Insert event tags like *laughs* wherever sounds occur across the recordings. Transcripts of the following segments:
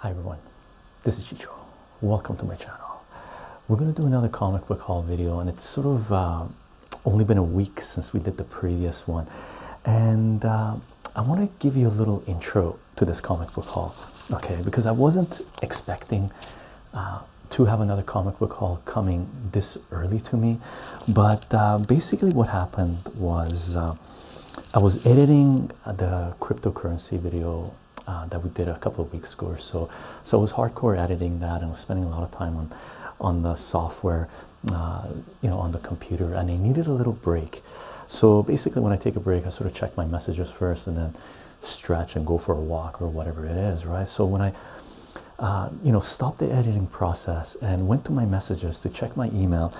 Hi everyone, this is Chicho. Welcome to my channel. We're going to do another comic book haul video and it's sort of uh, only been a week since we did the previous one. And uh, I want to give you a little intro to this comic book haul, okay? Because I wasn't expecting uh, to have another comic book haul coming this early to me, but uh, basically, what happened was uh, I was editing the cryptocurrency video uh, that we did a couple of weeks ago so. So I was hardcore editing that and was spending a lot of time on on the software, you know, on the computer, and I needed a little break. So basically, when I take a break, I sort of check my messages first, and then stretch and go for a walk or whatever it is, right? So when I, uh, you know, stopped the editing process and went to my messages to check my email,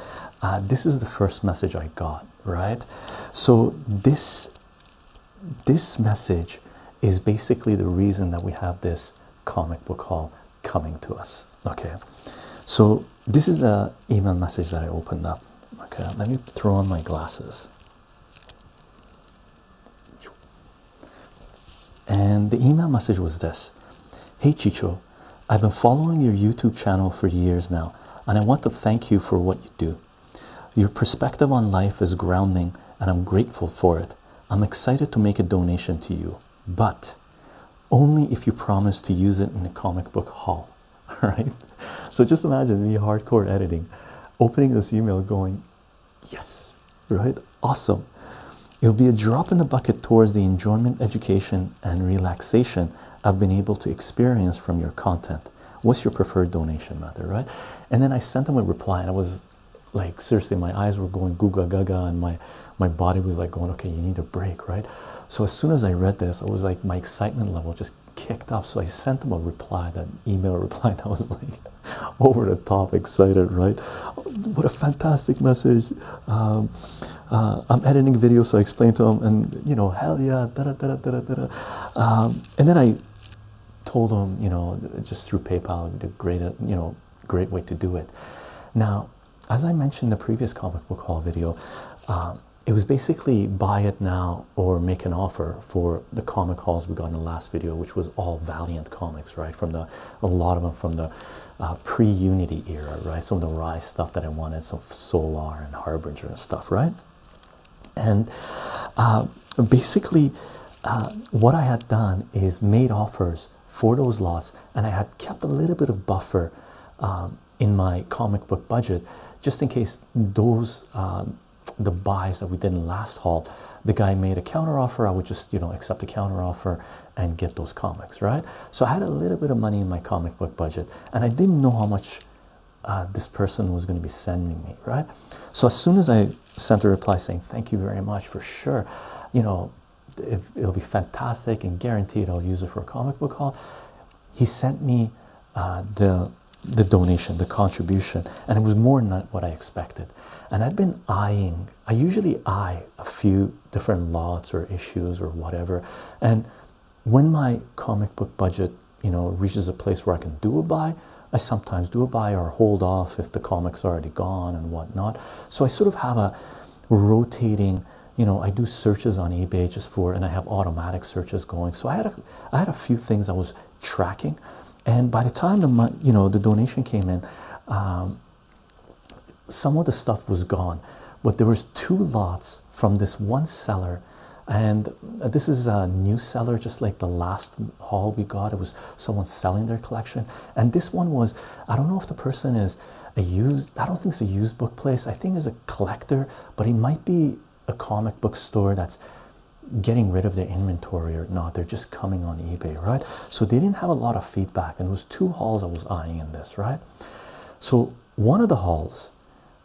uh, this is the first message I got, right? So this this message is basically the reason that we have this comic book hall coming to us. Okay, so this is the email message that I opened up. Okay, let me throw on my glasses. And the email message was this Hey Chicho, I've been following your YouTube channel for years now, and I want to thank you for what you do. Your perspective on life is grounding, and I'm grateful for it. I'm excited to make a donation to you, but only if you promise to use it in a comic book hall. All *laughs* right. So just imagine me hardcore editing, opening this email, going, Yes, right? Awesome. It'll be a drop in the bucket towards the enjoyment, education, and relaxation I've been able to experience from your content. What's your preferred donation method, right? And then I sent them a reply, and I was like, seriously, my eyes were going googa gaga, and my my body was like going, okay, you need a break, right? So as soon as I read this, I was like, my excitement level just kicked off. So I sent them a reply, that email *laughs* reply that was like, *laughs* over the top excited right what a fantastic message um, uh, i'm editing videos so i explain to him and you know hell yeah da -da -da -da -da -da um, and then i told him you know just through paypal the great you know great way to do it now as i mentioned in the previous comic book haul video um, it was basically buy it now or make an offer for the comic hauls we got in the last video, which was all Valiant comics, right? From the a lot of them from the uh, pre-Unity era, right? Some of the Rise stuff that I wanted, some Solar and Harbinger and stuff, right? And uh, basically, uh, what I had done is made offers for those lots, and I had kept a little bit of buffer um, in my comic book budget just in case those um, the buys that we did in last haul, the guy made a counter offer. I would just, you know, accept the counter offer and get those comics, right? So I had a little bit of money in my comic book budget, and I didn't know how much uh, this person was going to be sending me, right? So as soon as I sent a reply saying thank you very much for sure, you know, it, will be fantastic and guaranteed I'll use it for a comic book haul. He sent me uh, the the donation, the contribution, and it was more than what I expected. And I've been eyeing, I usually eye a few different lots or issues or whatever. And when my comic book budget, you know, reaches a place where I can do a buy, I sometimes do a buy or hold off if the comic's already gone and whatnot. So I sort of have a rotating, you know, I do searches on eBay just for, and I have automatic searches going. So I had a, I had a few things I was tracking and by the time the money you know the donation came in um, some of the stuff was gone but there was two lots from this one seller and uh, this is a new seller just like the last haul we got it was someone selling their collection and this one was i don't know if the person is a used i don't think it's a used book place i think it's a collector but it might be a comic book store that's getting rid of their inventory or not they're just coming on ebay right so they didn't have a lot of feedback and it was two halls i was eyeing in this right so one of the halls,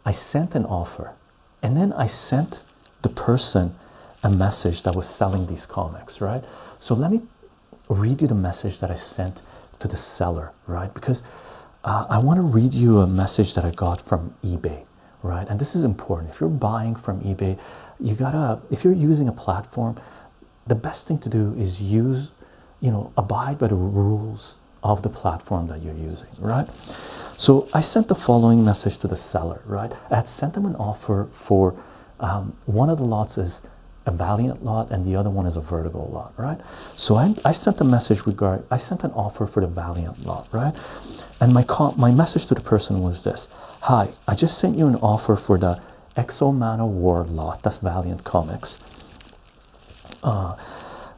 i sent an offer and then i sent the person a message that was selling these comics right so let me read you the message that i sent to the seller right because uh, i want to read you a message that i got from ebay right and this is important if you're buying from ebay you gotta if you're using a platform the best thing to do is use you know abide by the rules of the platform that you're using right so i sent the following message to the seller right i had sent them an offer for um, one of the lots is a valiant lot and the other one is a vertical lot right so i, I sent a message regard i sent an offer for the valiant lot right and my my message to the person was this hi I just sent you an offer for the Exo Exomano War lot. That's Valiant Comics. Uh,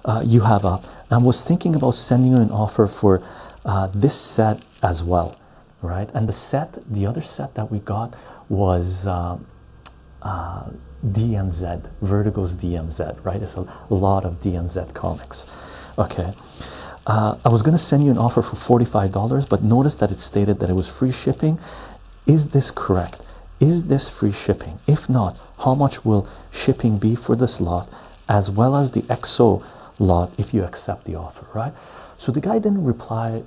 uh you have up, was thinking about sending you an offer for uh, this set as well, right? And the set, the other set that we got was um, uh, DMZ, Vertigo's DMZ, right? It's a lot of DMZ comics. Okay, uh, I was going to send you an offer for $45, but notice that it stated that it was free shipping. Is this correct? Is this free shipping? If not, how much will shipping be for this lot as well as the EXO lot if you accept the offer, right? So the guy didn't reply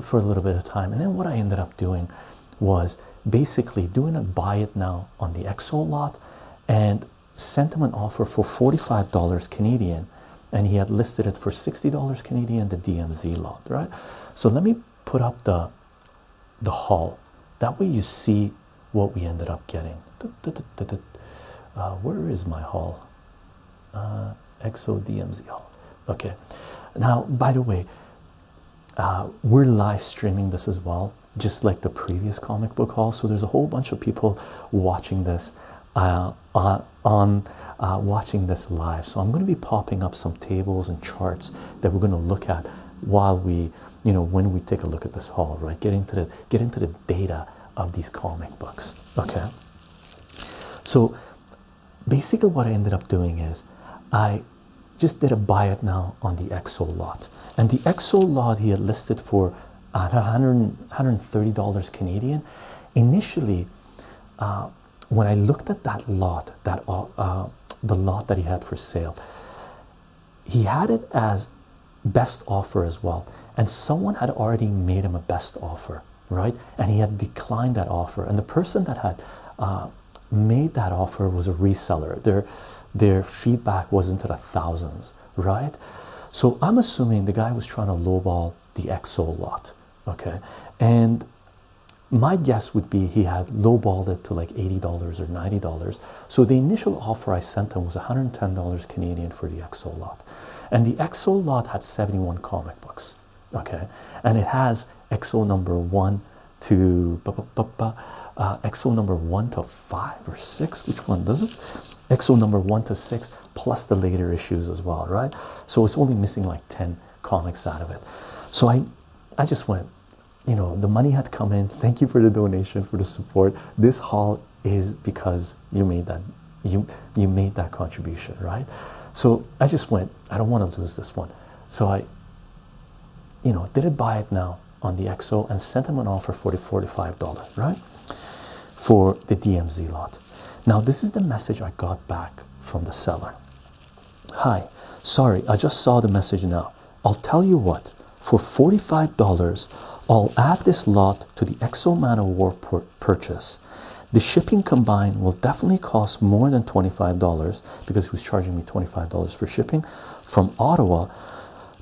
for a little bit of time. And then what I ended up doing was basically doing a buy it now on the EXO lot and sent him an offer for $45 Canadian and he had listed it for $60 Canadian, the DMZ lot, right? So let me put up the the haul. That way you see what we ended up getting. Uh, where is my haul? Uh, XO DMZ haul. Okay. Now, by the way, uh, we're live streaming this as well, just like the previous comic book haul. So there's a whole bunch of people watching this uh, on uh, watching this live. So I'm going to be popping up some tables and charts that we're going to look at while we, you know, when we take a look at this haul, right? Get into the get into the data of these comic books. Okay. So basically, what I ended up doing is I just did a buy it now on the XO lot, and the XO lot he had listed for. At $130 Canadian, initially uh, when I looked at that lot, that uh, uh, the lot that he had for sale, he had it as best offer as well, and someone had already made him a best offer, right? And he had declined that offer, and the person that had made that offer was a reseller. Their their feedback was into the thousands, right? So I'm assuming the guy was trying to lowball the Xolot, okay and my guess would be he had lowballed it to like $80 or $90 so the initial offer i sent him was $110 canadian for the Xolot, and the Xolot had 71 comic books okay and it has exo number one to uh, number one to five or six which one does it Exo number one to six, plus the later issues as well, right? So it's only missing like 10 comics out of it. So I, I just went, you know, the money had come in. Thank you for the donation, for the support. This haul is because you made that, you you made that contribution, right? So I just went, I don't want to lose this one. So I, you know, did it buy it now on the Exo and sent them an offer for the $45, right? For the DMZ lot. Now, this is the message I got back from the seller. Hi, sorry, I just saw the message now. I'll tell you what, for $45, I'll add this lot to the Exo Manowar pur purchase. The shipping combined will definitely cost more than $25 because he was charging me $25 for shipping from Ottawa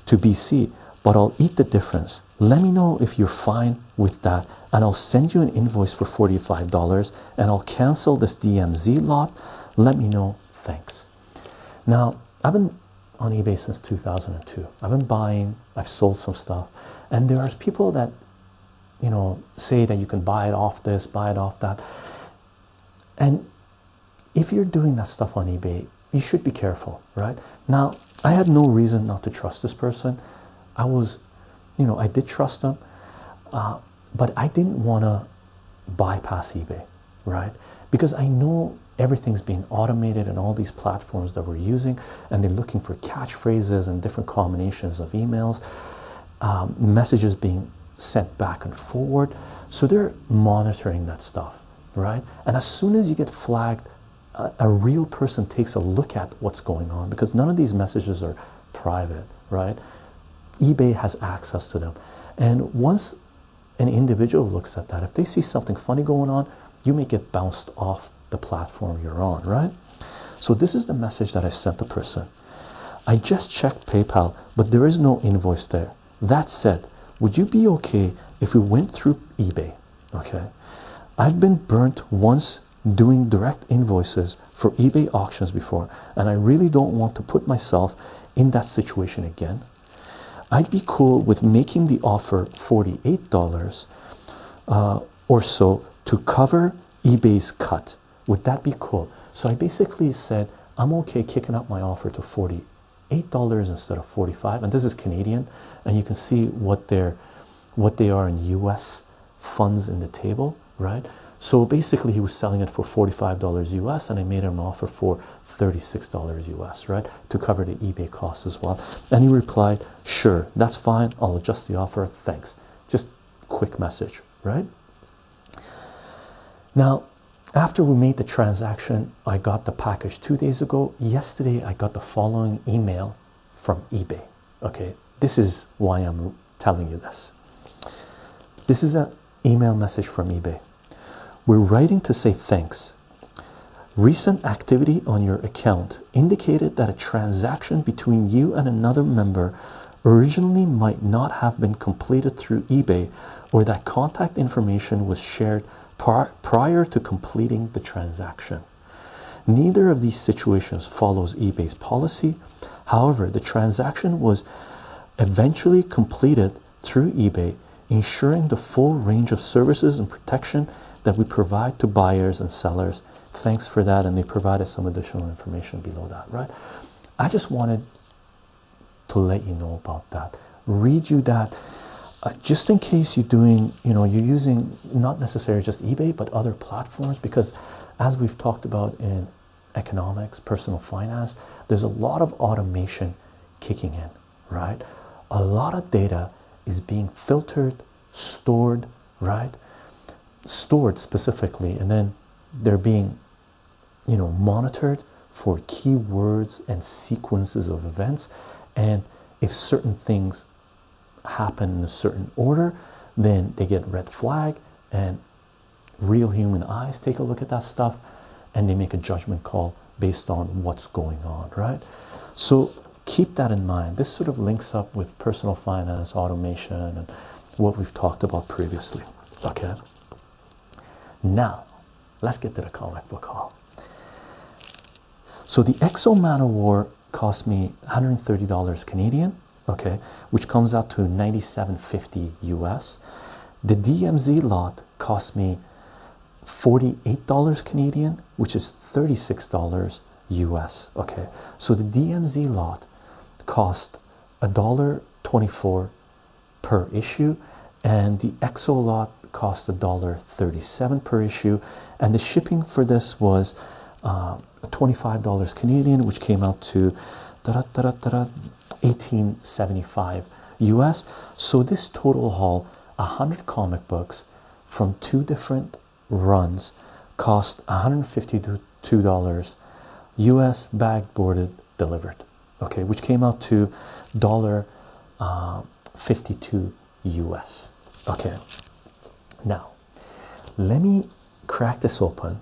to BC, but I'll eat the difference. Let me know if you're fine with that, and I'll send you an invoice for $45 and I'll cancel this DMZ lot. Let me know. Thanks. Now, I've been on eBay since 2002. I've been buying, I've sold some stuff, and there are people that you know say that you can buy it off this, buy it off that. And if you're doing that stuff on eBay, you should be careful, right? Now, I had no reason not to trust this person. I was, you know, I did trust them, uh, but I didn't want to bypass eBay, right? Because I know everything's being automated and all these platforms that we're using, and they're looking for catchphrases and different combinations of emails, um, messages being sent back and forward. So they're monitoring that stuff, right? And as soon as you get flagged a, real person takes a look at what's going on because none of these messages are private, right? eBay has access to them. And once an individual looks at that, if they see something funny going on, you may get bounced off the platform you're on, right? So, this is the message that I sent the person. I just checked PayPal, but there is no invoice there. That said, would you be okay if we went through eBay? Okay. I've been burnt once doing direct invoices for eBay auctions before, and I really don't want to put myself in that situation again. I'd be cool with making the offer $48 uh, or so to cover eBay's cut. Would that be cool? So I basically said, I'm okay kicking up my offer to $48 instead of 45 And this is Canadian, and you can see what they're what they are in US funds in the table, right? So basically, he was selling it for $45 US, and I made him an offer for $36 US, right, to cover the eBay costs as well. And he replied, Sure, that's fine. I'll adjust the offer. Thanks. Just quick message, right? Now, after we made the transaction, I got the package two days ago. Yesterday, I got the following email from eBay. Okay, this is why I'm telling you this. This is an email message from eBay. We're writing to say thanks. Recent activity on your account indicated that a transaction between you and another member originally might not have been completed through eBay or that contact information was shared prior to completing the transaction. Neither of these situations follows eBay's policy. However, the transaction was eventually completed through eBay, ensuring the full range of services and protection that we provide to buyers and sellers. Thanks for that, and they provided some additional information below that, right? I just wanted to let you know about that, read you that. Uh, just in case you're doing, you know, you're using not necessarily just eBay, but other platforms because, as we've talked about in economics, personal finance, there's a lot of automation kicking in, right? A lot of data is being filtered, stored, right? Stored specifically, and then they're being, you know, monitored for keywords and sequences of events. And if certain things happen in a certain order, then they get red flag, and real human eyes take a look at that stuff and they make a judgment call based on what's going on, right? So keep that in mind. This sort of links up with personal finance, automation, and what we've talked about previously. Okay. Now, let's get to the comic book hall. So the Exo War cost me $130 Canadian, okay, which comes out to 97.50 US. The DMZ lot cost me $48 Canadian, which is $36 US. Okay, so the DMZ lot cost $1.24 per issue, and the EXO lot cost $1.37 per issue, and the shipping for this was uh, $25 Canadian, which came out to 1875 US. So this total haul, 100 comic books from two different runs, cost $152 US bag boarded delivered. Okay, which came out to dollar uh, 52 US. Okay, now let me crack this open.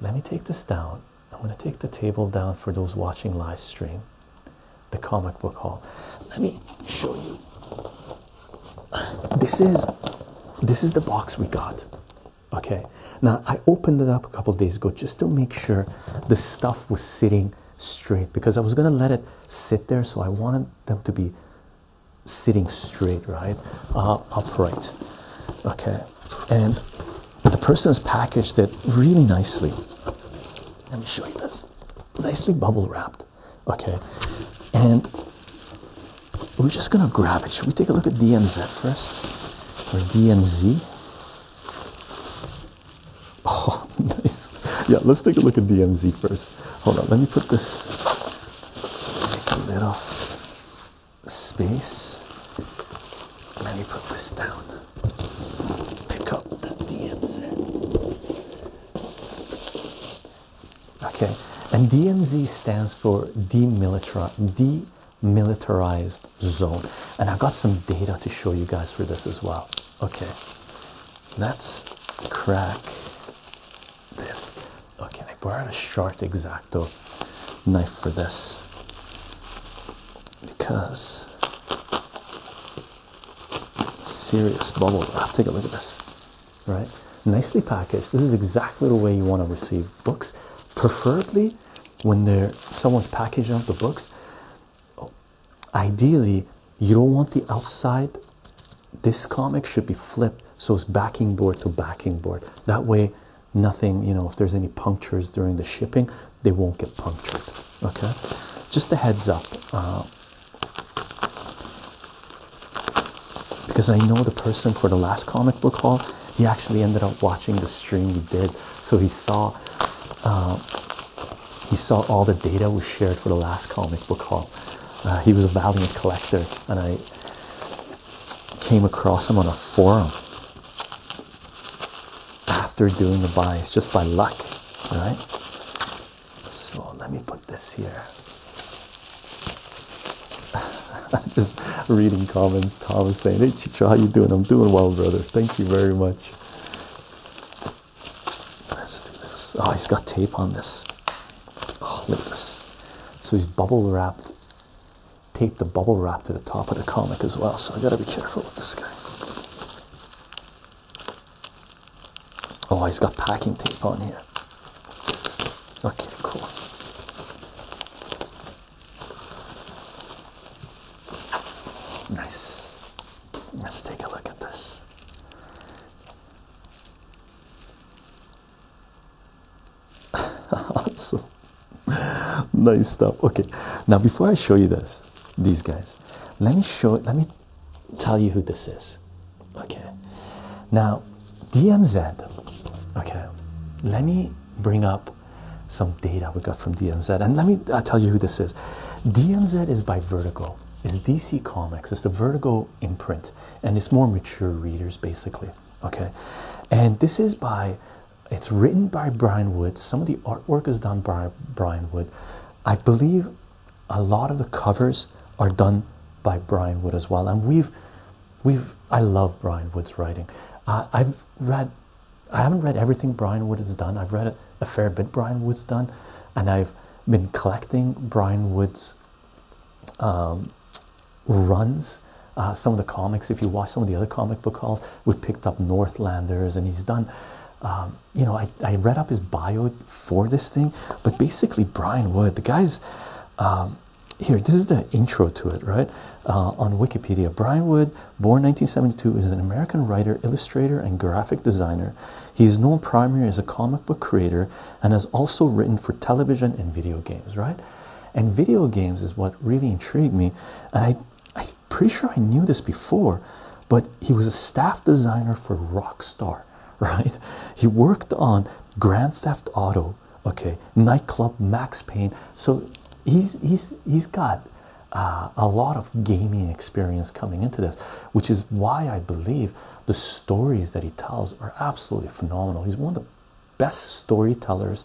Let me take this down. I'm going to take the table down for those watching live stream, the comic book hall. Let me show you. This is this is the box we got. Okay. Now I opened it up a couple days ago just to make sure the stuff was sitting straight because I was going to let it sit there so I wanted them to be sitting straight, right? Uh, upright. Okay. And the person's packaged it really nicely. Let me show you this. Nicely bubble wrapped. Okay. And we're just gonna grab it. Should we take a look at DMZ first? Or DMZ? *laughs* Oh, nice. Yeah, let's take a look at DMZ first. Hold on, let me put this little space. Let me put this down. Pick up the DMZ. Okay, and DMZ stands for demilitarized, demilitarized zone. And I've got some data to show you guys for this as well. Okay, let's crack this. Okay, I borrowed a sharp exacto knife for this because serious bubble wrap. Take a look at this, right? Nicely packaged. This is exactly the way you want to receive books, preferably when they're someone's packaging up the books. Ideally, you don't want the outside this comic should be flipped so it's backing board to backing board. That way, nothing, you know, if there's any punctures during the shipping, they won't get punctured. Okay, just a heads up. Uh, because I know the person for the last comic book haul, he actually ended up watching the stream we did, so he saw uh, he saw all the data we shared for the last comic book haul. Uh, he was a valiant collector, and I came across him on a forum after doing the buys just by luck, All right. So let me put this here. *laughs* just reading comments. Tom is saying, "Hey, Chicho, how you doing? I'm doing well, brother. Thank you very much." Let's do this. Oh, he's got tape on this. Oh, look at this. So he's bubble wrapped. Take the bubble wrap to the top of the comic as well. So I gotta be careful with this guy. Oh, he's got packing tape on here. Okay, cool. Nice. Let's take a look at this. *laughs* awesome. Nice stuff. Okay. Now before I show you this, these guys, let me show let me tell you who this is. Okay. Now, DMZ. Okay. Let me bring up some data we got from DMZ. And let me uh, tell you who this is. DMZ is by Vertigo. It's DC Comics. It's the Vertigo Go in print, and it's more mature readers basically. Okay, and this is by it's written by Brian Wood. Some of the artwork is done by Brian Wood. I believe a lot of the covers are done by Brian Wood as well. And we've we've I love Brian Wood's writing. Uh, I've read I haven't read everything Brian Wood has done. I've read a, fair bit Brian Wood's done, and I've been collecting Brian Wood's um, runs. Uh, some of the comics, if you watch some of the other comic book hauls, we picked up Northlanders, and he's done. Um, you know, I, I read up his bio for this thing, but basically, Brian Wood, the guy's um, here. This is the intro to it, right? Uh, on Wikipedia, Brian Wood, born 1972, is an American writer, illustrator, and graphic designer. He's known primarily as a comic book creator and has also written for television and video games, right? And video games is what really intrigued me. And I, am pretty sure I knew this before, but he was a staff designer for Rockstar, *laughs* right? He worked on Grand Theft Auto, okay, Nightclub, Max Payne. So he's he's he's got uh, a lot of gaming experience coming into this, which is why I believe the stories that he tells are absolutely phenomenal. He's one of the best storytellers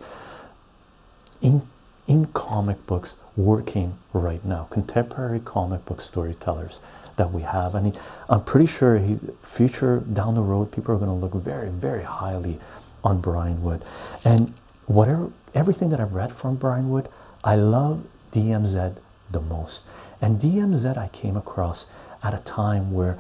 in in comic books working right now. Contemporary comic book storytellers that we have, and I'm pretty sure he future down the road people are going to look very very highly on Brian Wood, and whatever everything that I've read from Brian Wood, I love DMZ the most. And DMZ I came across at a time where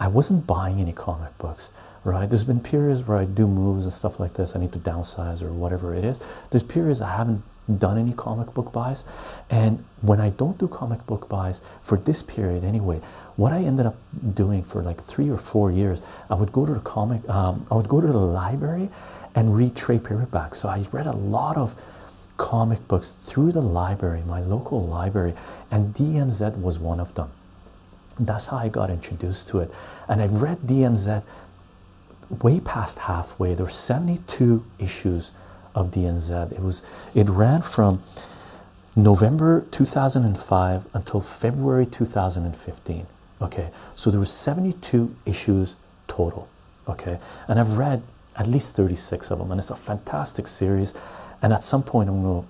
I wasn't buying any comic books, right? There's been periods where I do moves and stuff like this. I need to downsize or whatever it is. There's periods I haven't done any comic book buys, and when I don't do comic book buys for this period anyway, what I ended up doing for like three or four years, I would go to the comic, um, I would go to the library, and read trade paperbacks. So I read a lot of comic books through the library, my local library, and DMZ was one of them. That's how I got introduced to it. And I read DMZ way past halfway. There were 72 issues of DMZ. It was it ran from November 2005 until February 2015. Okay, so there were 72 issues total. Okay, and I've read at least 36 of them, and it's a fantastic series. And at some point, I'm going to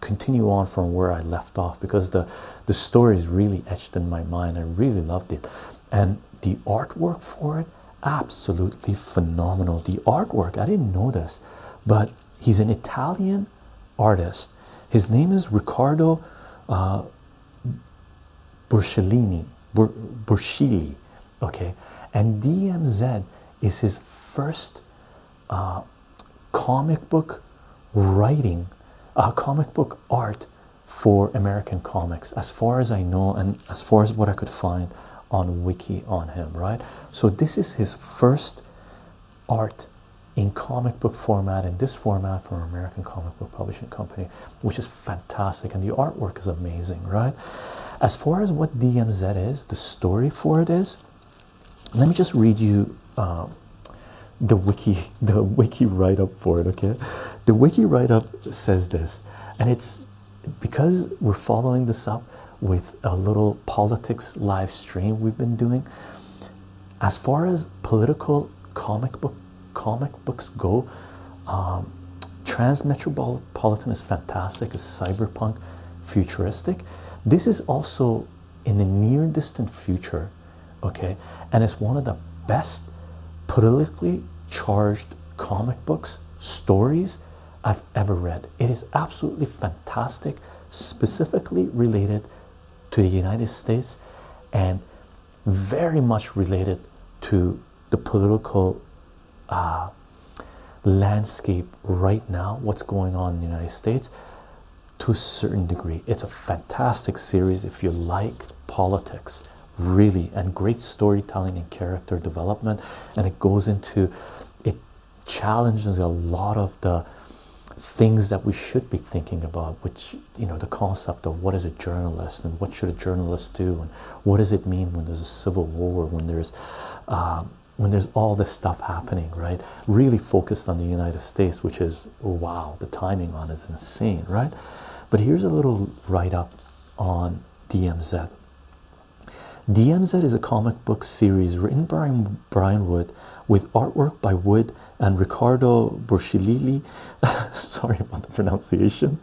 continue on from where I left off because the the story is really etched in my mind. I really loved it, and the artwork for it absolutely phenomenal. The artwork I didn't know this, but he's an Italian artist. His name is Riccardo uh, Borsellini. Bur okay and dmz is his first uh, comic book writing uh, comic book art for american comics as far as i know and as far as what i could find on wiki on him right so this is his first art in comic book format in this format for american comic book publishing company which is fantastic and the artwork is amazing right as far as what DMZ is, the story for it is, let me just read you um, the wiki, *laughs* the wiki write-up for it. Okay, the wiki write-up says this, and it's because we're following this up with a little politics live stream we've been doing. As far as political comic book comic books go, um, Trans Metropolitan Politan is fantastic, is cyberpunk, futuristic. This is also in the near distant future, okay, and it's one of the best politically charged comic books stories I've ever read. It is absolutely fantastic, specifically related to the United States and very much related to the political uh, landscape right now, what's going on in the United States, to a certain degree. It's a fantastic series if you like politics, really, and great storytelling and character development. And it goes into it challenges a lot of the things that we should be thinking about which you know the concept of what is a journalist and what should a journalist do and what does it mean when there's a civil war when there's um, when there's all this stuff happening, right? Really focused on the United States, which is wow, the timing on is insane, right? But here's a little write up on DMZ. DMZ is a comic book series written by Brian Wood with artwork by Wood and Ricardo Borchilili. *laughs* Sorry about the pronunciation.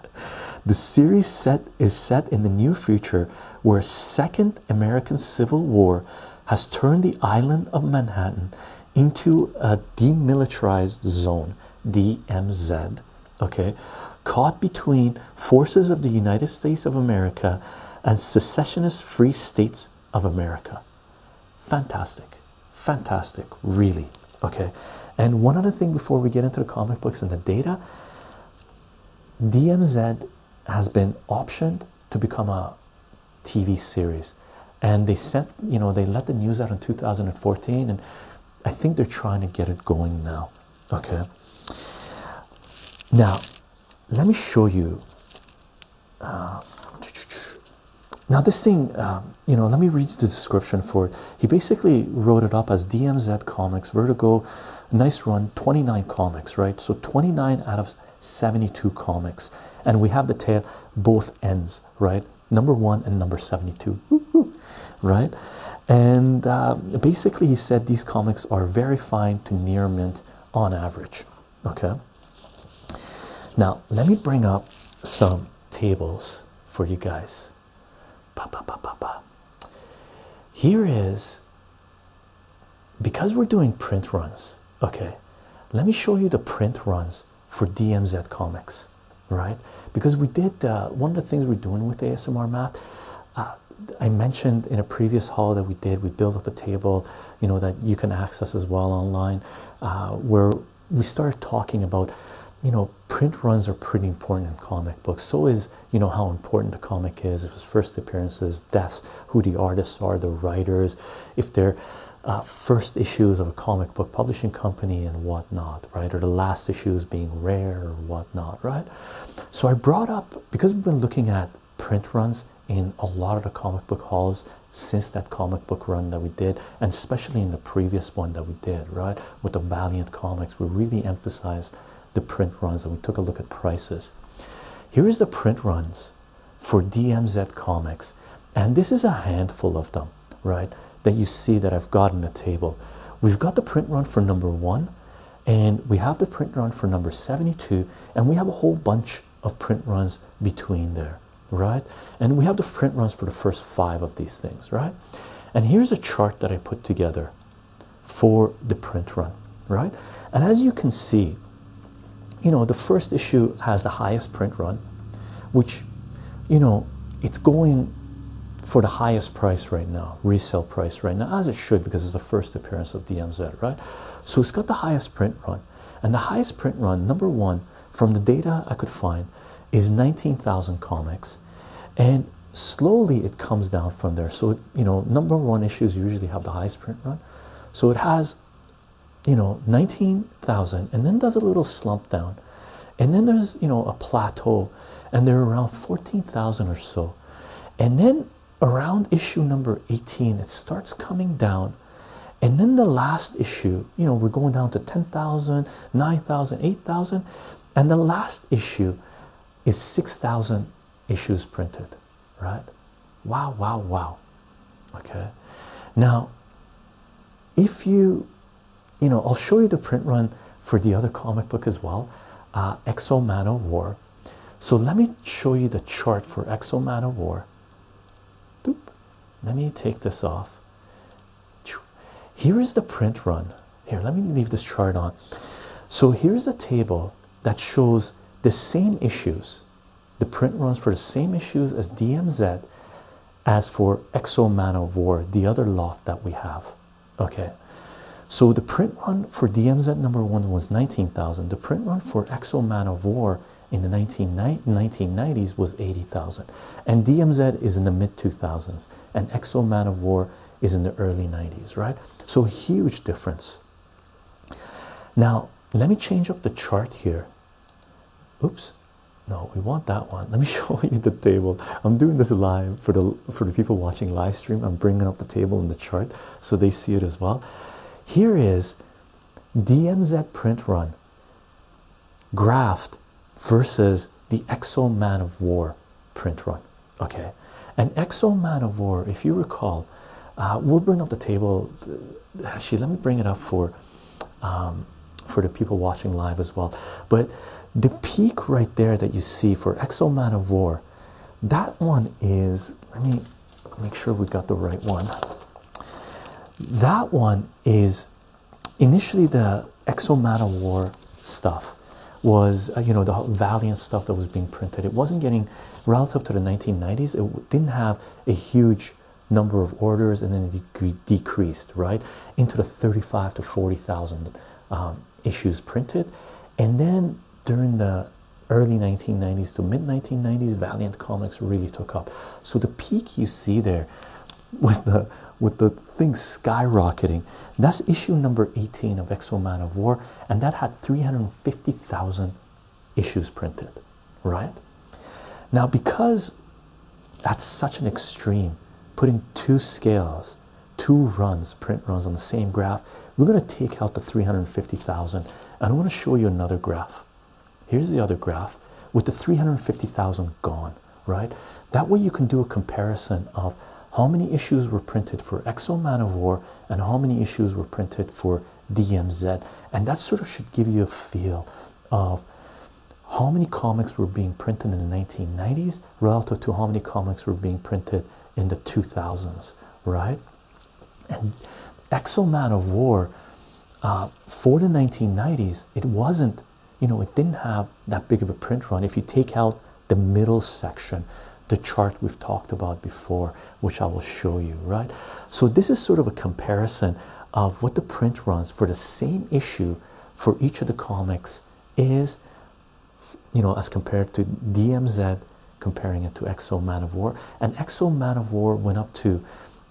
The series set is set in the near future where second American Civil War has turned the island of Manhattan into a demilitarized zone, DMZ. Okay, caught between forces of the United States of America and secessionist free states of America. Fantastic, fantastic, really. Okay, and one other thing before we get into the comic books and the data DMZ has been optioned to become a TV series, and they sent you know they let the news out in 2014, and I think they're trying to get it going now. Okay, now let me show you. Uh, now this thing, um, you know, let me read you the description for it. He basically wrote it up as DMZ Comics, Vertigo, nice run 29 comics right so 29 out of 72 comics and we have the tail both ends right number one and number 72 right and um, basically he said these comics are very fine to near mint on average okay now let me bring up some tables for you guys here is because we're doing print runs, okay, let me show you the print runs for DMZ Comics, right? Because we did uh, one of the things we're doing with ASMR Math. Uh, I mentioned in a previous hall that we did, we built up a table, you know, that you can access as well online, uh, where we started talking about, you know, print runs are pretty important in comic books. So is you know how important a comic is, if his first appearances, deaths, who the artists are, the writers, if they're uh, first issues of a comic book publishing company and whatnot, right? Or the last issues being rare or whatnot, right? So I brought up because we've been looking at print runs in a lot of the comic book halls since that comic book run that we did, and especially in the previous one that we did, right? With the Valiant comics, we really emphasized the print runs and we took a look at prices. Here is the print runs for DMZ Comics, and this is a handful of them, right? That you see that I've got in the table. We've got the print run for number one, and we have the print run for number 72, and we have a whole bunch of print runs between there, right? And we have the print runs for the first five of these things, right? And here's a chart that I put together for the print run, right? And as you can see, you know, the first issue has the highest print run, which, you know, it's going for the highest price right now, resale price right now, as it should, because it's the first appearance of DMZ, right? So it's got the highest print run. And the highest print run, number one, from the data I could find, is 19,000 comics. And slowly it comes down from there. So, you know, number one issues usually have the highest print run. So it has, you know, 19,000 and then does a little slump down. And then there's, you know, a plateau and they're around 14,000 or so. And then around issue number 18, it starts coming down. And then the last issue, you know, we're going down to 10,000, 9,000, 8,000. And the last issue is 6,000 issues printed right? Wow, wow, wow. Okay, now if you you know, I'll show you the print run for the other comic book as well, uh, Exo Man of War. So let me show you the chart for Exo Man of War. Doop. Let me take this off. Here is the print run. Here, let me leave this chart on. So here's a table that shows the same issues. The print runs for the same issues as DMZ as for Exo Man of War, the other lot that we have. Okay, so the print run for DMZ number one was 19,000, the print run for Exo Man of War in the 1990s was 80,000, and DMZ is in the mid 2000s, and Exo Man of War is in the early 90s, right? So, huge difference. Now, let me change up the chart here. Oops, no, we want that one. *laughs* Let me show you the table. I'm doing this live for the for the people watching live stream. I'm bringing up the table and the chart so they see it as well. Here is DMZ print run graft versus the Exo Man of War print run. Okay, and Exo Man of War, if you recall, uh, we'll bring up the table. Actually, let me bring it up for um, for the people watching live as well. But the peak right there that you see for Exo Man of War, that one is. Let me make sure we got the right one. That one is initially the Exo Man of War stuff was uh, you know the valiant stuff that was being printed it wasn't getting relative to the 1990s, it didn't have a huge number of orders, and then it decreased right into the 35 to 40 thousand um, issues printed, and then during the early 1990s to mid 1990s, Valiant Comics really took up. So the peak you see there, with the with the thing skyrocketing, that's issue number 18 of Exo Man of War, and that had 350,000 issues printed, right? Now, because that's such an extreme, putting two scales, two runs, print runs on the same graph, we're going to take out the 350,000. And I want to show you another graph. Here's the other graph with the 350,000 gone, right? That way you can do a comparison of how many issues were printed for Exo Man of War and how many issues were printed for DMZ, and that sort of should give you a feel of how many comics were being printed in the 1990s relative to how many comics were being printed in the 2000s, right? And Exo Man of War uh, for the 1990s, it wasn't, you know, it didn't have that big of a print run. If you take out the middle section the chart we've talked about before, which I will show you, right? So, this is sort of a comparison of what the print runs for the same issue for each of the comics is, you know, as compared to DMZ, comparing it to Exo Man of War. And Exo Man of War went up to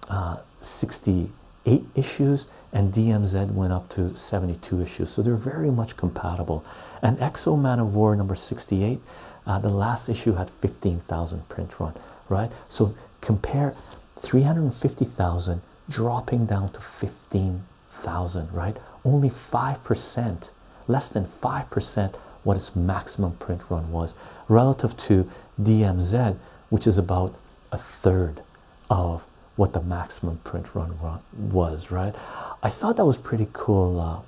uh, 68 issues, and DMZ went up to 72 issues. So, they're very much compatible. And Exo Man of War number 68. Uh, the last issue had had 15,000 print run, right? So compare 350,000 dropping down to 15,000, right? Only 5%, less than 5% what its maximum print run was relative to DMZ, which is about a third of what the maximum print run was, right? I thought that was pretty cool. Uh,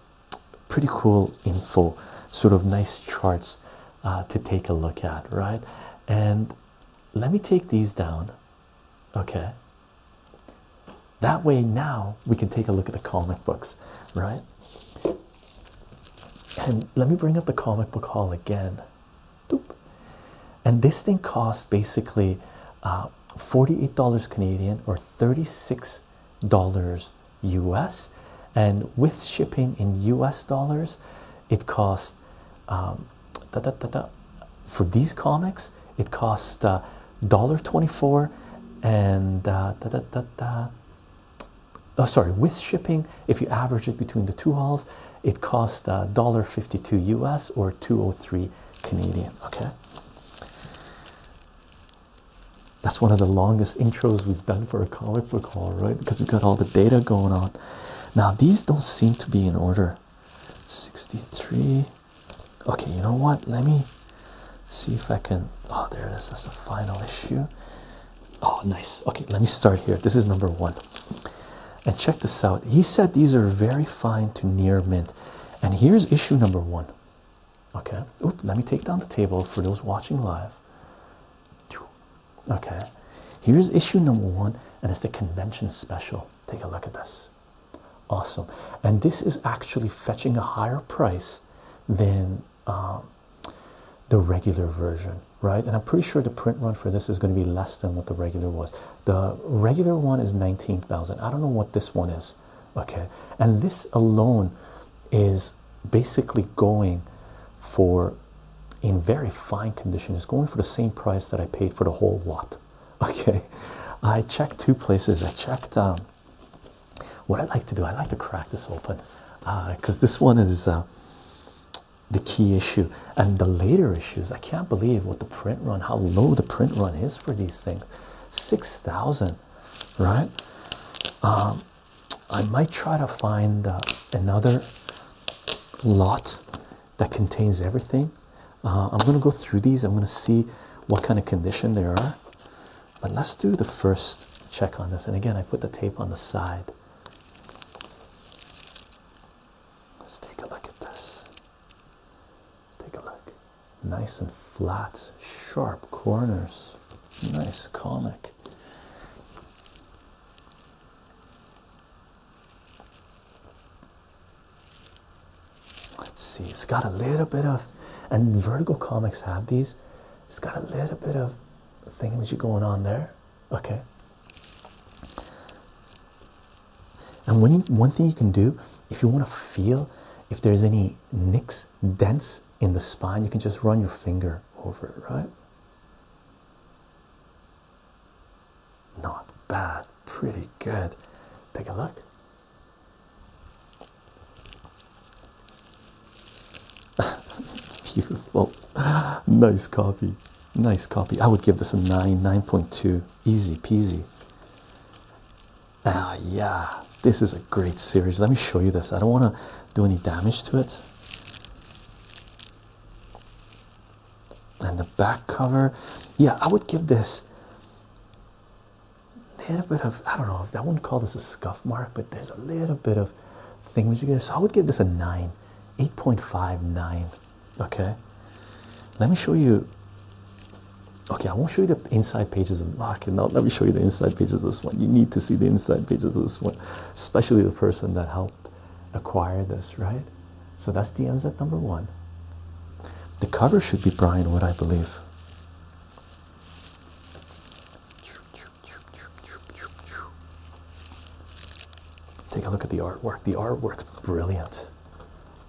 pretty cool info, sort of nice charts uh, to take a look at, right? And let me take these down, okay? That way, now we can take a look at the comic books, right? And let me bring up the comic book haul again. Doop. And this thing costs basically uh, $48 Canadian or $36 US, and with shipping in US dollars, it costs um, da, da, da, for these comics, it costs uh, dollar twenty-four and uh, da, da, da, Oh, sorry, with shipping, if you average it between the two halls, it costs uh, dollar uh, fifty-two US or two oh three Canadian. Okay, that's one of the longest intros we've done for a comic book haul, right? Because we've got all the data going on. Now, these don't seem to be in order. 63. Okay, you know what? Let me see if I can. Oh, there it is. That's the final issue. Oh, nice. Okay, let me start here. This is number one. And check this out. He said these are very fine to near mint. And here's issue number one. Okay, let me take down the table for those watching live. Okay, here's issue number one, and it's the convention special. Take a look at this. Awesome, and this is actually fetching a higher price than um, the regular version, right? And I'm pretty sure the print run for this is going to be less than what the regular was. The regular one is 19,000. I don't know what this one is okay and this alone is basically going for in very fine condition It's going for the same price that I paid for the whole lot *laughs* okay I checked two places I checked um, what I like to do I like to crack this open because uh, this one is uh, the key issue and the later issues I can't believe what the print run how low the print run is for these things 6,000 right um, I might try to find uh, another lot that contains everything. Uh, I'm going to go through these, I'm going to see what kind of condition there are. But let's do the first check on this. And again, I put the tape on the side. Let's take a look at this. Take a look. Nice and flat, sharp corners. Nice comic. Let's see, it's got a little bit of, and Vertigo Comics have these. It's got a little bit of thingamajig going on there. Okay. And when one thing you can do if you want to feel if there's any nicks, dents in the spine, you can just run your finger over it, right? Not bad, pretty good. Take a look. *laughs* Beautiful, nice copy, nice copy. I would give this a 9, 9.2, easy peasy. Ah, yeah, this is a great series. Let me show you this. I don't want to do any damage to it. And the back cover, yeah, I would give this. A little bit of I don't know if I wouldn't call this a scuff mark, but there's a little bit of things there. So I would give this a nine, eight point five nine. Okay, let me show you. Okay, I won't show you the inside pages of ah, Knock. And let me show you the inside pages of this one. You need to see the inside pages of this one, especially the person that helped acquire this, right? So that's DMZ at number one. The cover should be Brian Wood, I believe. Take a look at the artwork. The artwork's brilliant.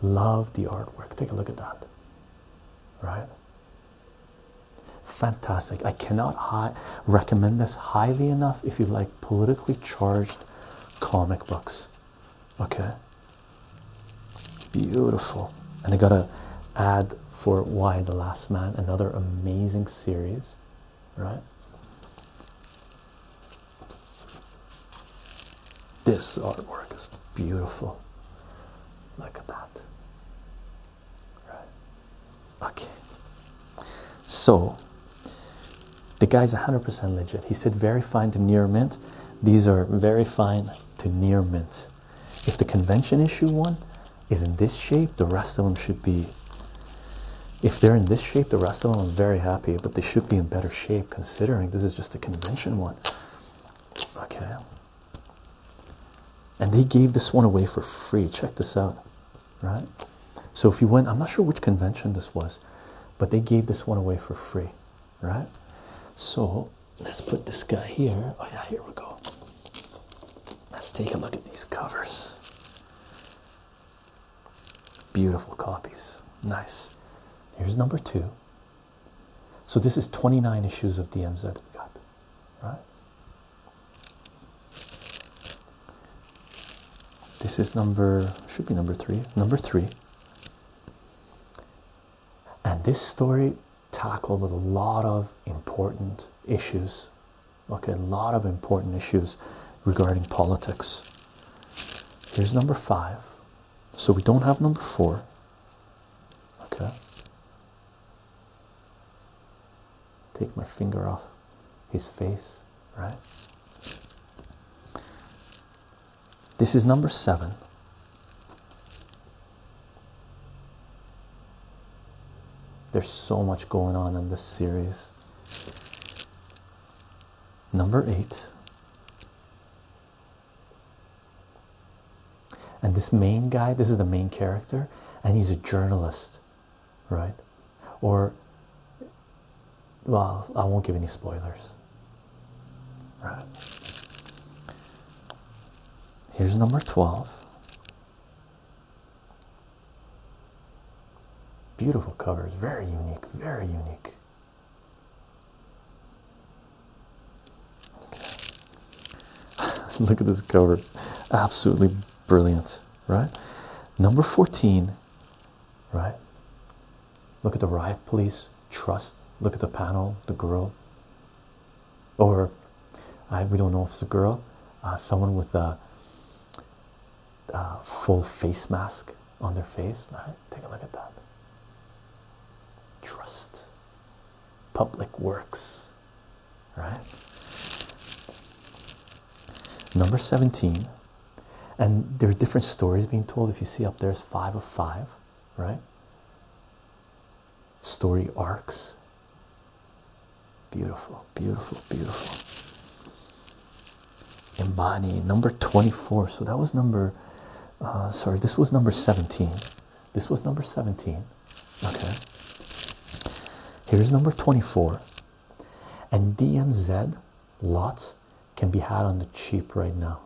Love the artwork. Take a look at that. Right? Fantastic. I cannot recommend this highly enough if you like politically charged comic books. Okay. Beautiful. And I gotta add for Why the Last Man, another amazing series, right? This artwork is beautiful. Look at that right? Okay. So the guy's 100% legit. He said very fine to near mint. These are very fine to near mint. If the convention issue one is in this shape, the rest of them should be. If they're in this shape, the rest of them I'm very happy, but they should be in better shape considering this is just a convention one. Okay, and they gave this one away for free. Check this out, right? So, if you went, I'm not sure which convention this was, but they gave this one away for free, right? So, let's put this guy here. Oh, yeah, here we go. Let's take a look at these covers. Beautiful copies. Nice. Here's number two. So, this is 29 issues of DMZ we got right? This is number, should be number three, number three. And this story tackled a lot of important issues, okay? A lot of important issues regarding politics. Here's number five. So we don't have number four, okay? Take my finger off his face, right? This is number seven. There's so much going on in this series. Number eight and this main guy this is the main character and he's a journalist right or well i won't give any spoilers right here's number 12 beautiful covers very unique very unique *laughs* Look at this cover. Absolutely brilliant, right? Number 14, right? Look at the riot police trust. Look at the panel, the girl. Or we don't know if it's a girl, uh, someone with a, a full face mask on their face. Right, take a look at that. Trust, public works, right? Number 17, and there are different stories being told. If you see up there, it's five of five, right? Story arcs. Beautiful, beautiful, beautiful. Embody number 24. So that was number, uh, sorry, this was number 17. This was number 17. Okay. Here's number 24. And DMZ lots can be had on the cheap right now.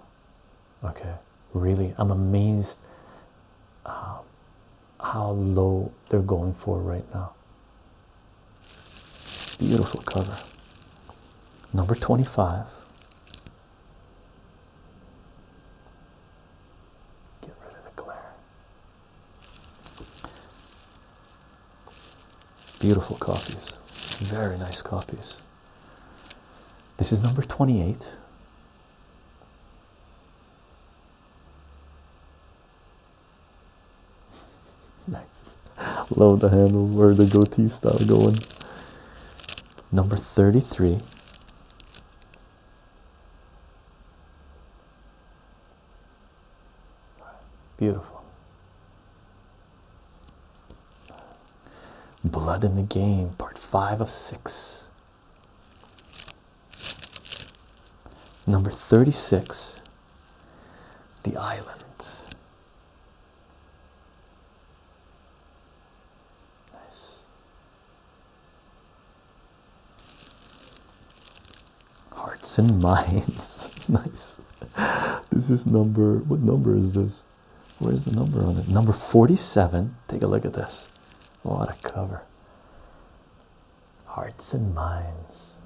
Okay. Really, I'm amazed um, how low they're going for right now. Beautiful cover. Number 25. Get rid of the glare. Beautiful copies, very nice copies. This is number 28. *laughs* nice. Love the handle where the goatee style going. Number 33. Beautiful. Blood in the Game, part five of six. Number 36 The Island. Nice. Hearts and *laughs* minds. nice. This is number what number is this? Where's the number on it? Number 47. Take a look at this. What a cover. Hearts and minds.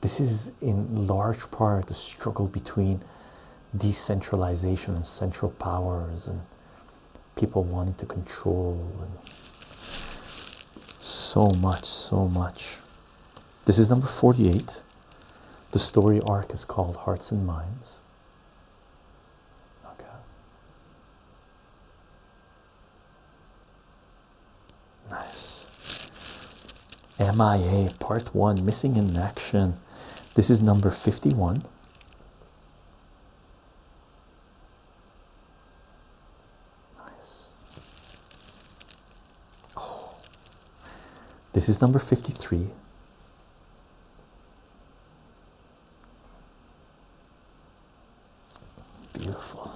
This is in large part the struggle between decentralization and central powers and people wanting to control so much, so much. This is number 48. The story arc is called Hearts and Minds. Okay. Nice. MIA Part 1 Missing in Action. This is number 51. Nice. Oh, this is number 53. Beautiful.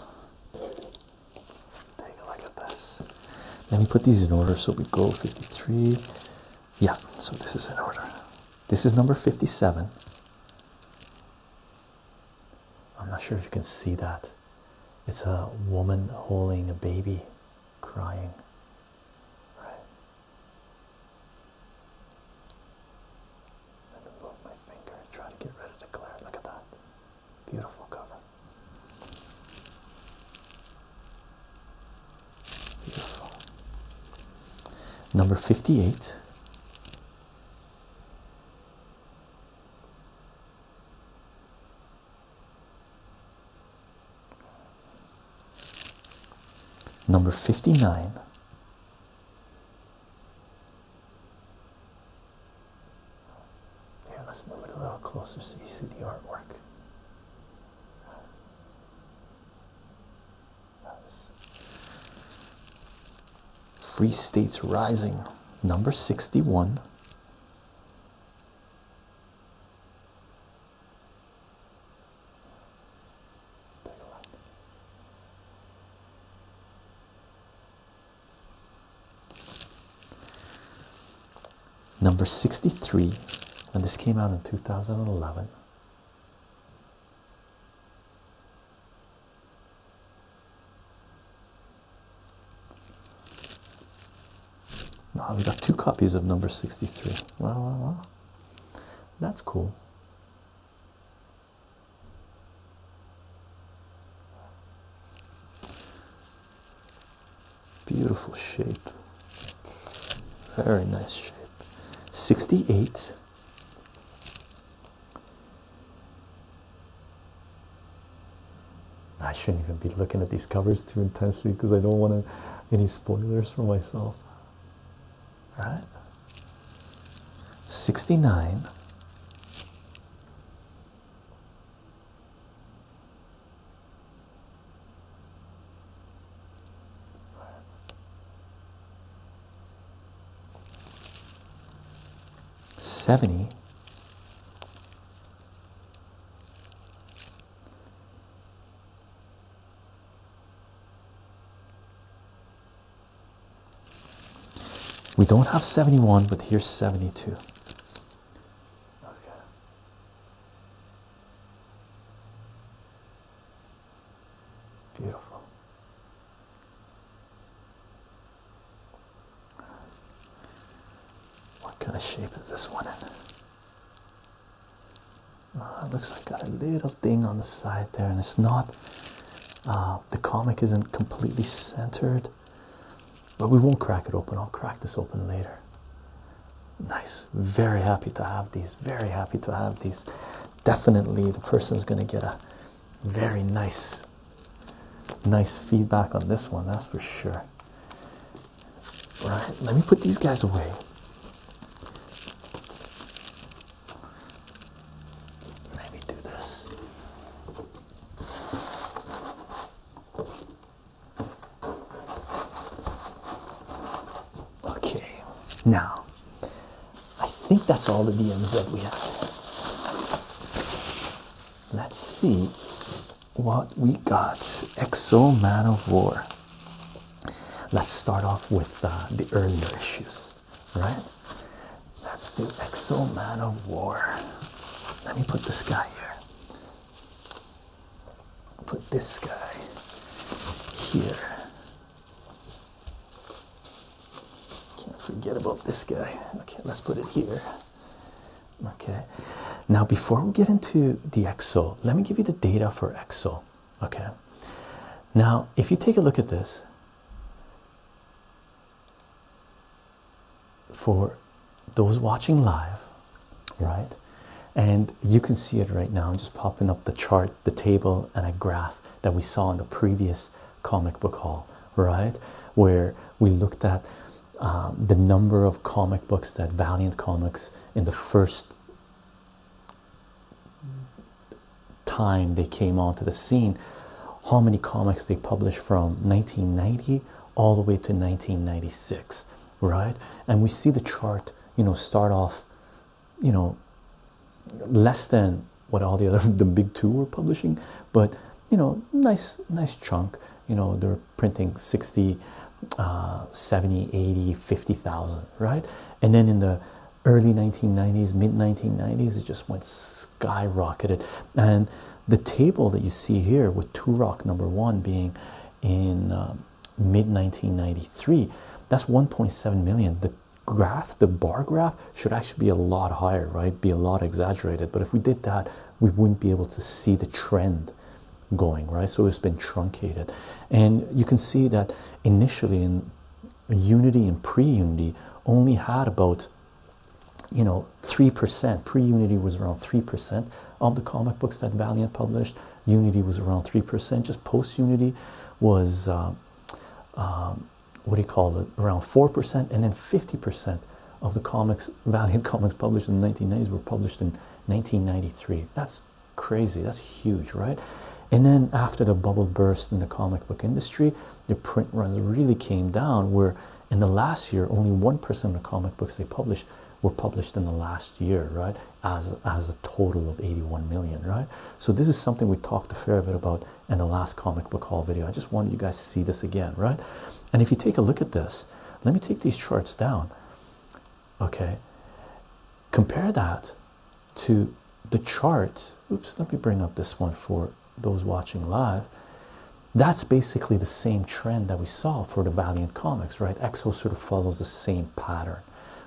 Take a look at this. Let me put these in order so we go 53, yeah, so this is an order. This is number 57. I'm not sure if you can see that. It's a woman holding a baby crying. Right. Let me move my finger, try to get rid of the glare. Look at that. Beautiful cover. Number 58. Number 59. Here, let's move it a little closer so you see the artwork. Free States Rising, number 61. Number 63, and this came out in 2011. Now we got two copies of number 63. Wow, That's cool. Beautiful shape. Very nice shape. 68 I shouldn't even be looking at these covers too intensely because I don't want any spoilers for myself. All right? 69 69 Seventy We don't have 71, but here's 72. Okay. Beautiful. What kind of shape is this one in? Uh, it looks like got a little thing on the side there, and it's not. Uh, the comic isn't completely centered, but we won't crack it open. I'll crack this open later. Nice. Very happy to have these. Very happy to have these definitely the person is going to get a very nice nice feedback on this one that's for sure right let me put these guys away let me do this Okay, now I think that's all the DMs we have. Let's see what we got. Exo Man of War. Let's start off with uh, the earlier issues, right? That's the Exo Man of War. Let me put this guy here. Put this guy here. Can't forget about this guy. Okay, let's put it here. Okay, now before we get into the Excel, let me give you the data for Excel. Okay, now if you take a look at this for those watching live, right, and you can see it right now. I'm just popping up the chart the table, and a graph that we saw in the previous comic book hall, right? Where we looked at um, the number of comic books that Valiant Comics in the first time they came onto the scene, how many comics they published from 1990 all the way to 1996, right? And we see the chart, you know, start off you know less than what all the other *laughs* the big two were publishing, but you know nice nice chunk. You know they're printing 60, uh, 70, 80, 50,000, right? And then in the early 1990s, mid 1990s, it just went skyrocketed. And the table that you see here with Turok number one being in uh, mid 1993, that's 1.7 million graph, the bar graph, should actually be a lot higher, right? Be a lot exaggerated. But if we did that, we wouldn't be able to see the trend going, right? So it's been truncated. And you can see that initially in Unity and pre Unity only had about you know 3% pre-unity was around 3% of the comic books that valiant published unity was around 3% just post-unity was um, um, what do you call it around 4% and then 50% of the comics *laughs* valiant comics published in the 1990s were published in 1993 that's crazy that's huge right and then after the bubble burst in the comic book industry the print runs really came down where in the last year only 1% of the comic books they published were published in the last year right as a total of 81 million right so this is something we talked a fair bit about in the last comic book hall video i just wanted you guys to see this again right and if you take a look at this let me take these charts down okay compare that to the chart oops let me bring up this one for those watching live that's basically the same trend that we saw for the valiant comics right exo sort of follows the same pattern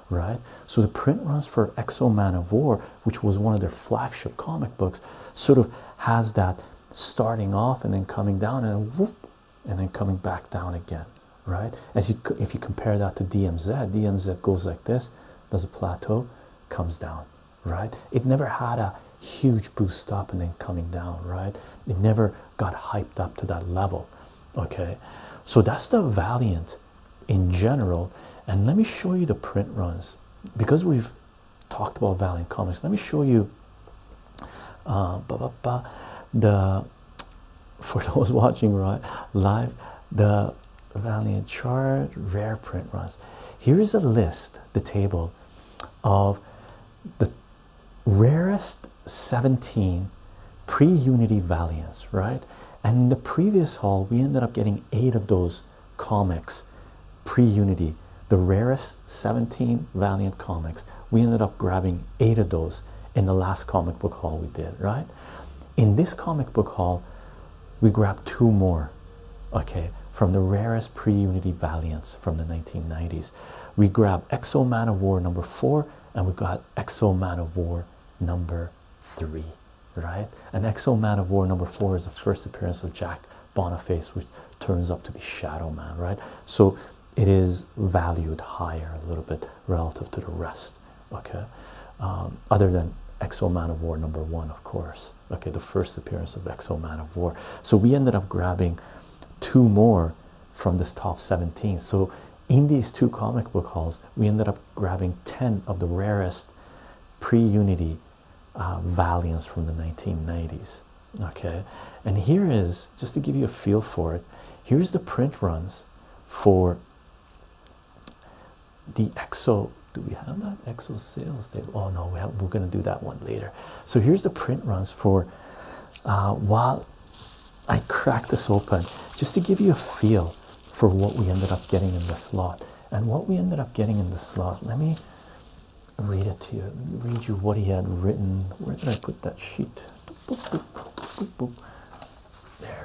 right? So the print runs for Exo Man of War, which was one of their flagship comic books, sort of has that starting off and then coming down and whoop, and then coming back down again, right? As you if you compare that to DMZ, DMZ goes like this, does a plateau, comes down, right? It never had a huge boost up and then coming down, right? It never got hyped up to that level. Okay, so that's the Valiant in general and let me show you the print runs because we've talked about valiant comics let me show you uh, the *laughs* for those watching right live the valiant chart rare print runs here is a list the table of the rarest 17 pre-unity valiants right and in the previous haul, we ended up getting eight of those comics pre Unity, the rarest 17 Valiant comics. We ended up grabbing eight of those in the last comic book haul we did, right? In this comic book haul, we grabbed two more, okay, from the rarest pre Unity Valiants from the 1990s. We grabbed Exo Man of War number four, and we got Exo Man of War number three right? and Exo Man of War number four is the first appearance of Jack Boniface, which turns out to be Shadow Man, right? So it is valued higher a little bit relative to the rest, okay? Um, other than Exo Man of War number one, of course, okay? The first appearance of Exo Man of War. So we ended up grabbing two more from this top 17. So in these two comic book hauls, we ended up grabbing 10 of the rarest pre Unity uh, Valiants from the 1990s. Okay, and here is just to give you a feel for it here's the print runs for the Exo. Do we have that Exo sales date? Oh no, we are going to do that one later. So here's the print runs for uh, while I crack this open, just to give you a feel for what we ended up getting in the slot, And what we ended up getting in the slot, let me read it to you, read you what he had written. Where did I put that sheet? There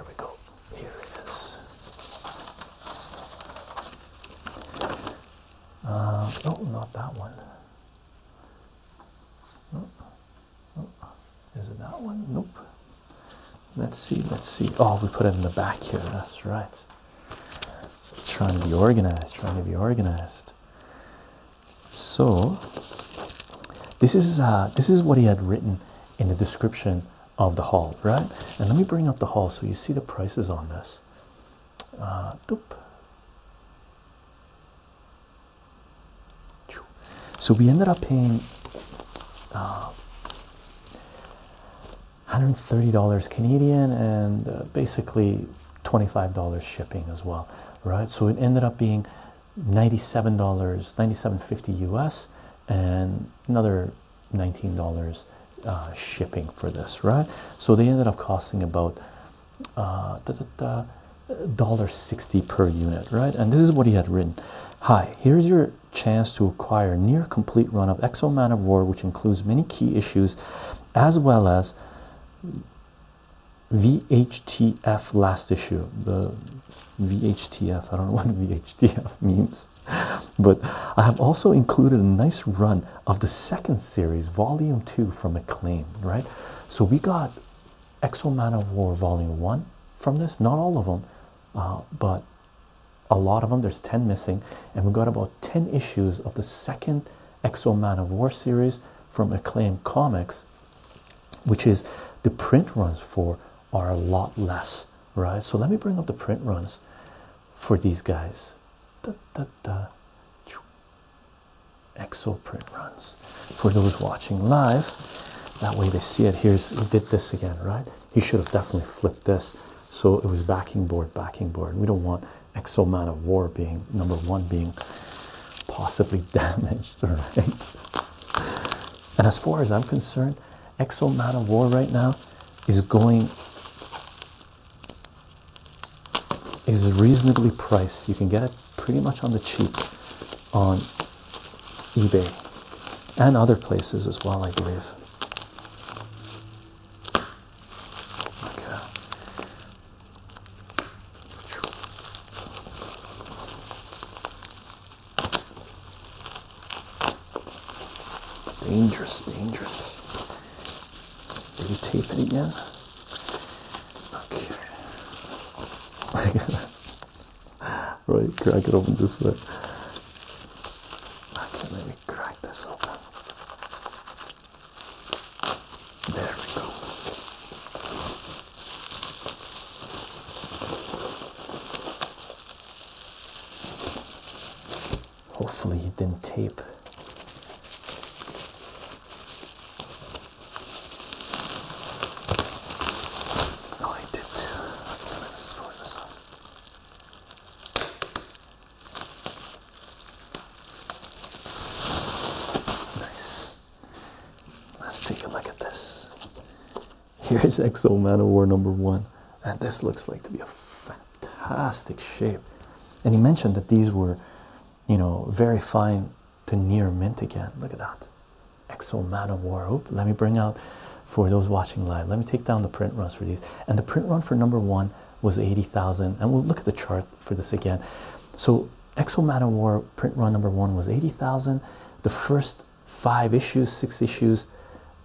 we go. Here it is. Uh, oh, not that one. No. No. Is it that one? Nope. Let's see, let's see. Oh, we put it in the back here. That's right. Trying to be organized, trying to be organized. So this is uh this is what he had written in the description of the hall, right? And let me bring up the hall so you see the prices on this. Uh so we ended up paying $130 uh, Canadian and uh, basically $25 shipping as well, right? So it ended up being $97, dollars ninety seven dollars US and another $19 uh, shipping for this, right? So they ended up costing about uh, $1.60 per unit, right? And this is what he had written. Hi, here's your chance to acquire near complete run of Exo Man of War, which includes many key issues as well as VHTF last issue. The VHTF, I don't know *laughs* what VHTF means, *laughs* but I have also included a nice run of the second series, volume two from Acclaim, right? So we got Exo Man of War volume one from this, not all of them, uh, but a lot of them there's 10 missing and we got about 10 issues of the second exo man of war series from acclaim comics which is the print runs for are a lot less right so let me bring up the print runs for these guys exo print runs for those watching live that way they see it here's did this again right he should have definitely flipped this so it was backing board, backing board. We don't want Exo Man of War being number one being possibly *laughs* damaged, right? And as far as I'm concerned, Exo Man of War right now is going is reasonably priced. You can get it pretty much on the cheap on eBay and other places as well, I believe. Okay. Dangerous, dangerous. Did he tape it again? Okay. *laughs* Look this. *sighs* right, crack it open this way. Okay, let me crack this open. There we go. Hopefully, it didn't tape. Oh, I did let me sort this out. Nice. Let's take a look at this. Here's Exo War number one, and this looks like to be a fantastic shape. And he mentioned that these were, you know, very fine to near mint again. Look at that. Exo Man War. let me bring out for those watching live. Let me take down the print runs for these. And the print run for number one was 80,000. And we'll look at the chart for this again. So Exo Man War print run number one was 80,000. The first five issues, six issues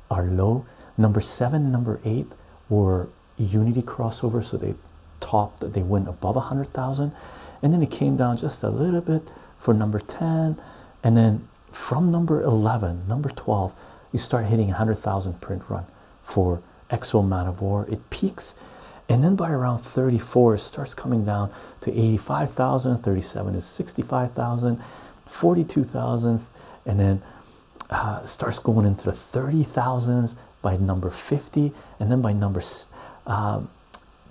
are low. Number seven, number eight were Unity crossovers. so they topped, they went above 100,000. And then it came down just a little bit for number 10. And then from number 11, number 12, you start hitting 100,000 print run for Exo Man of War. It peaks, and then by around 34, it starts coming down to 85,000. 37 is 65,000, 42,000, and then uh, starts going into the 30,000s by number 50, and then by number um,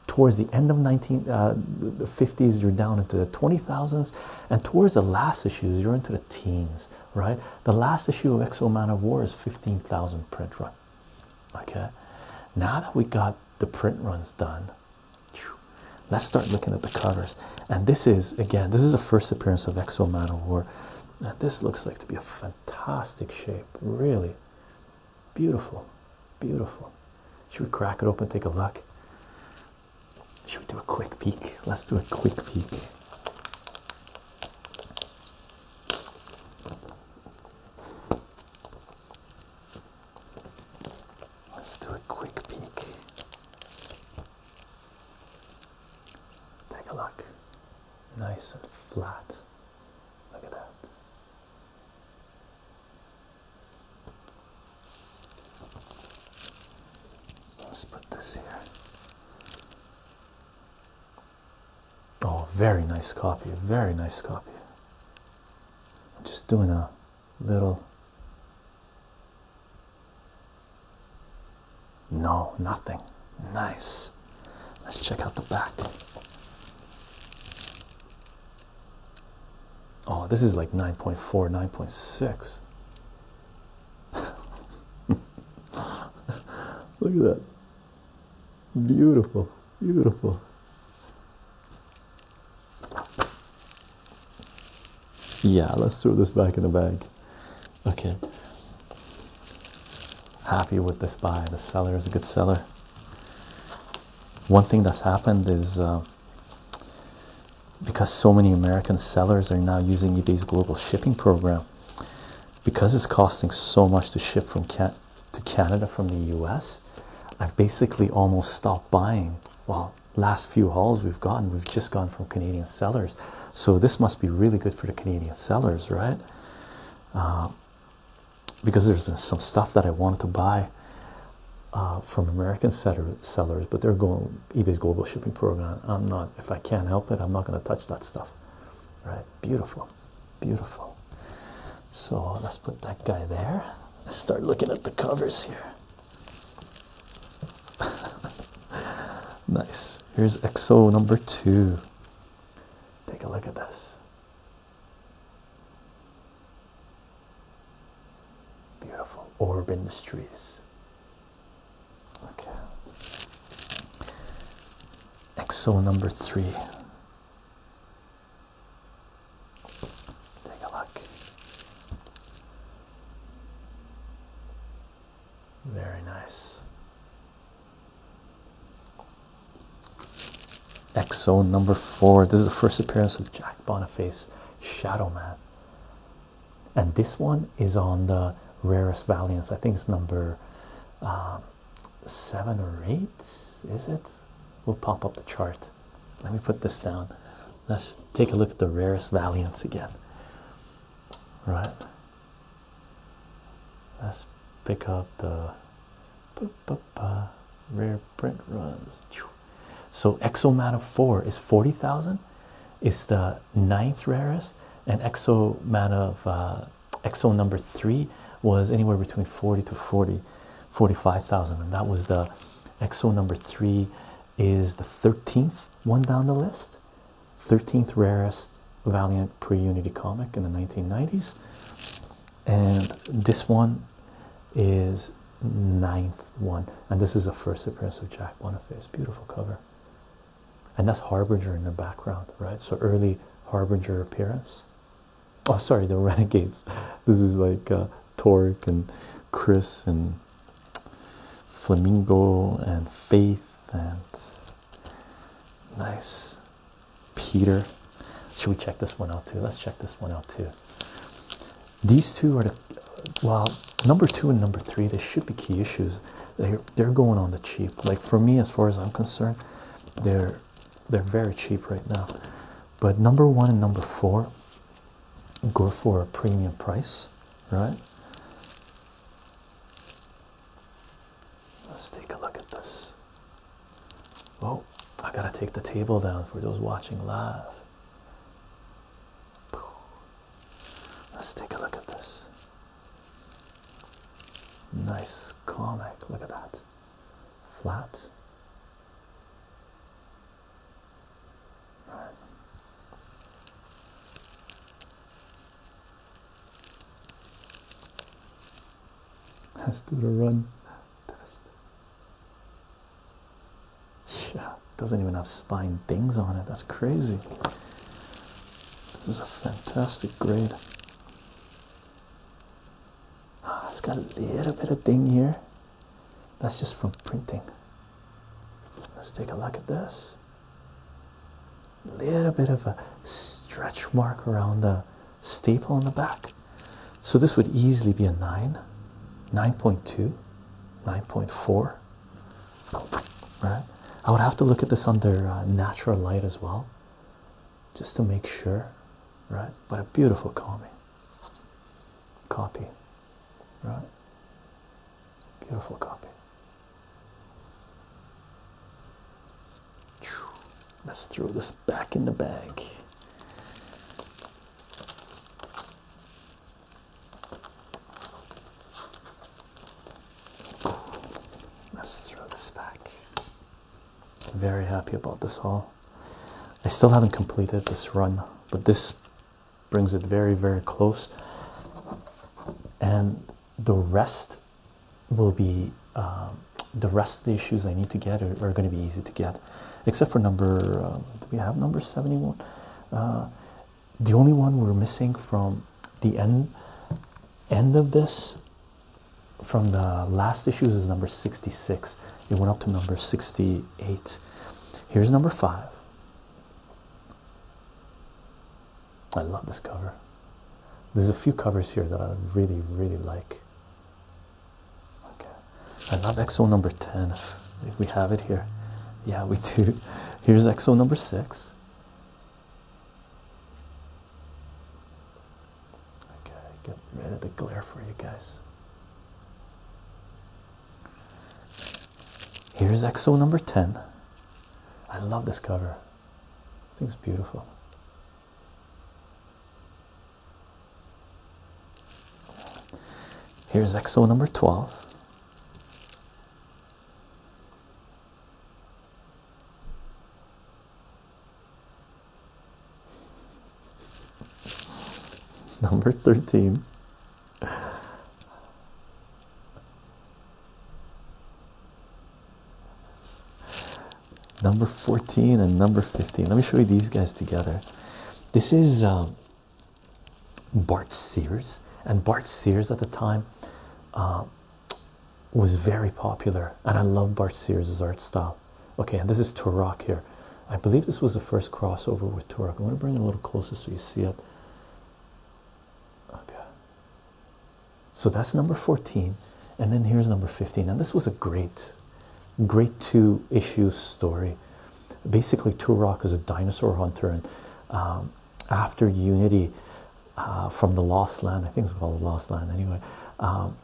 towards the end of 1950s, uh, you're down into the 20,000s and towards the last issues you're into the teens right the last issue of exo man of war is 15000 print run okay now that we got the print runs done let's start looking at the covers and this is again this is the first appearance of exo man of war this looks like to be a fantastic shape really beautiful beautiful should we crack it open take a look should we do a quick peek? Let's do a quick peek. Let's do a quick peek. Take a look. Nice and flat. Look at that. Let's put this here. Oh, very nice copy. Very nice copy. just doing a little. No, nothing. Nice. Let's check out the back. Oh, this is like 9.4, 9.6. *laughs* Look at that. Beautiful, beautiful. Yeah, let's throw this back in the bag. Okay. Happy with this buy. The seller is a good seller. One thing that's happened is uh, because so many American sellers are now using eBay's global shipping program, because it's costing so much to ship from to Canada from the US, I've basically almost stopped buying. Well, last few hauls we've gotten, we've just gotten from Canadian sellers, so this must be really good for the Canadian sellers, right? Uh, because there's been some stuff that I wanted to buy uh, from American sellers, but they're going eBay's global shipping program. I'm not, if I can't help it, I'm not going to touch that stuff. Right? Beautiful, beautiful. So let's put that guy there. Let's start looking at the covers here. *laughs* nice. Here's XO number two. Take a look at this. Beautiful Orb Industries. Okay. Exo number three. Take a look. Very nice. Exo number four. This is the first appearance of Jack Boniface Shadow Man and this one is on the rarest valiance. I think it's number um, seven or eight. Is it? We'll pop up the chart. Let me put this down. Let's take a look at the rarest valiance again. Right. Let's pick up the rare print runs. So exo Exoman 4 is 40,000. is the ninth rarest, and Exo Man uh, Exo number three was anywhere between 40 to 40, 45,000, and that was the Exo number three is the 13th one down the list, 13th rarest Valiant pre-Unity comic in the 1990s, and this one is ninth one, and this is the first appearance of Jack Boniface. Beautiful cover, and that's Harbinger in the background, right? So early Harbinger appearance. Oh, sorry, the *laughs* Renegades. This is like uh, and Chris and Flamingo and Faith and nice Peter. Should we check this one out too? Let's check this one out too. These two are the well, number two and number three. They should be key issues. They're they're going on the cheap. Like for me, as far as I'm concerned, they're they're very cheap right now. But number one and number four go for a premium price, right? Let's take a look at this. Oh, I gotta take the table down for those watching live. Let's take a look at this. Nice comic. Look at that. Flat. Right. Let's do the run test. Yeah, doesn't even have spine things on it. That's crazy. This is a fantastic grade. Ah, it's got a little bit of thing here. That's just from printing. Let's take a look at this. Little bit of a stretch mark around the staple on the back. So this would easily be a 9, 9.2, 9.4 right? I would have to look at this under uh, natural light as well, just to make sure, right? But a beautiful copy, copy, right? Beautiful copy. Let's throw this back in the bag. Let's throw this back. Very happy about this haul. I still haven't completed this run, but this brings it very, very close. And the rest will be um, the rest of the issues I need to get are, going to be easy to get, except for number. Um, do we have number 71? the only one we're missing from the end end of this from the last issues is number 66 it went up to number 68 here's number 5 i love this cover there's a few covers here that i really really like okay i love exo number 10 if we have it here. Yeah, we do. Here's exo number six. Okay, get rid of the glare for you guys. Here's exo number 10. I love this cover, I think it's beautiful. Here's exo number 12. *laughs* Number 13. Number 14 and number 15. Let me show you these guys together. This is um, Bart Sears, and Bart Sears at the time uh, was very popular, and I love Bart Sears' art style. Okay, and this is Turok here. I believe this was the first crossover with Turok. I'm going to bring it a little closer so you see it. Okay, so that's number 14, and then here's number 15, and this was a great, great two issue story basically turok is a dinosaur hunter and um, after unity uh, from the lost land i think it's called the lost land anyway um,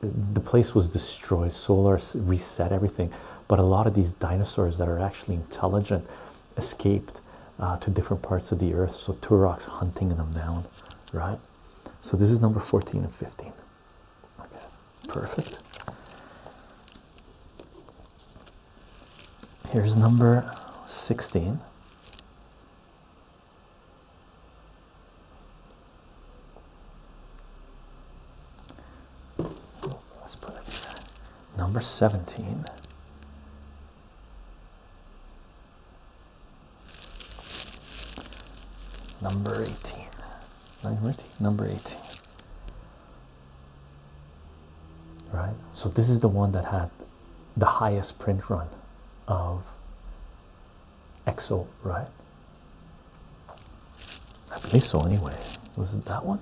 the place was destroyed solar reset everything but a lot of these dinosaurs that are actually intelligent escaped uh, to different parts of the earth so turok's hunting them down right so this is number 14 and 15 Perfect. Here's number 16. Let's put it here. Number 17. Number 18. Number 18. Number 18 right? So this is the one that had the highest print run of Excel, right? I believe so anyway. Was it that one?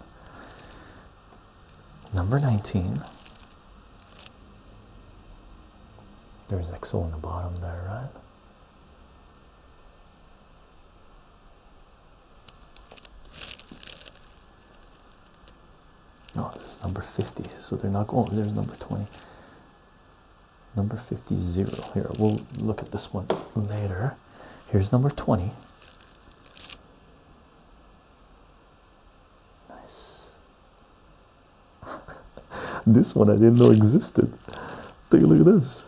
Number 19. There's Excel in the bottom there, right? Oh, this is number 50, so they're not going. there's number 20. Number 50 here. We'll look at this one later. Here's number 20. Nice. *laughs* this one I didn't know existed. Take a look at this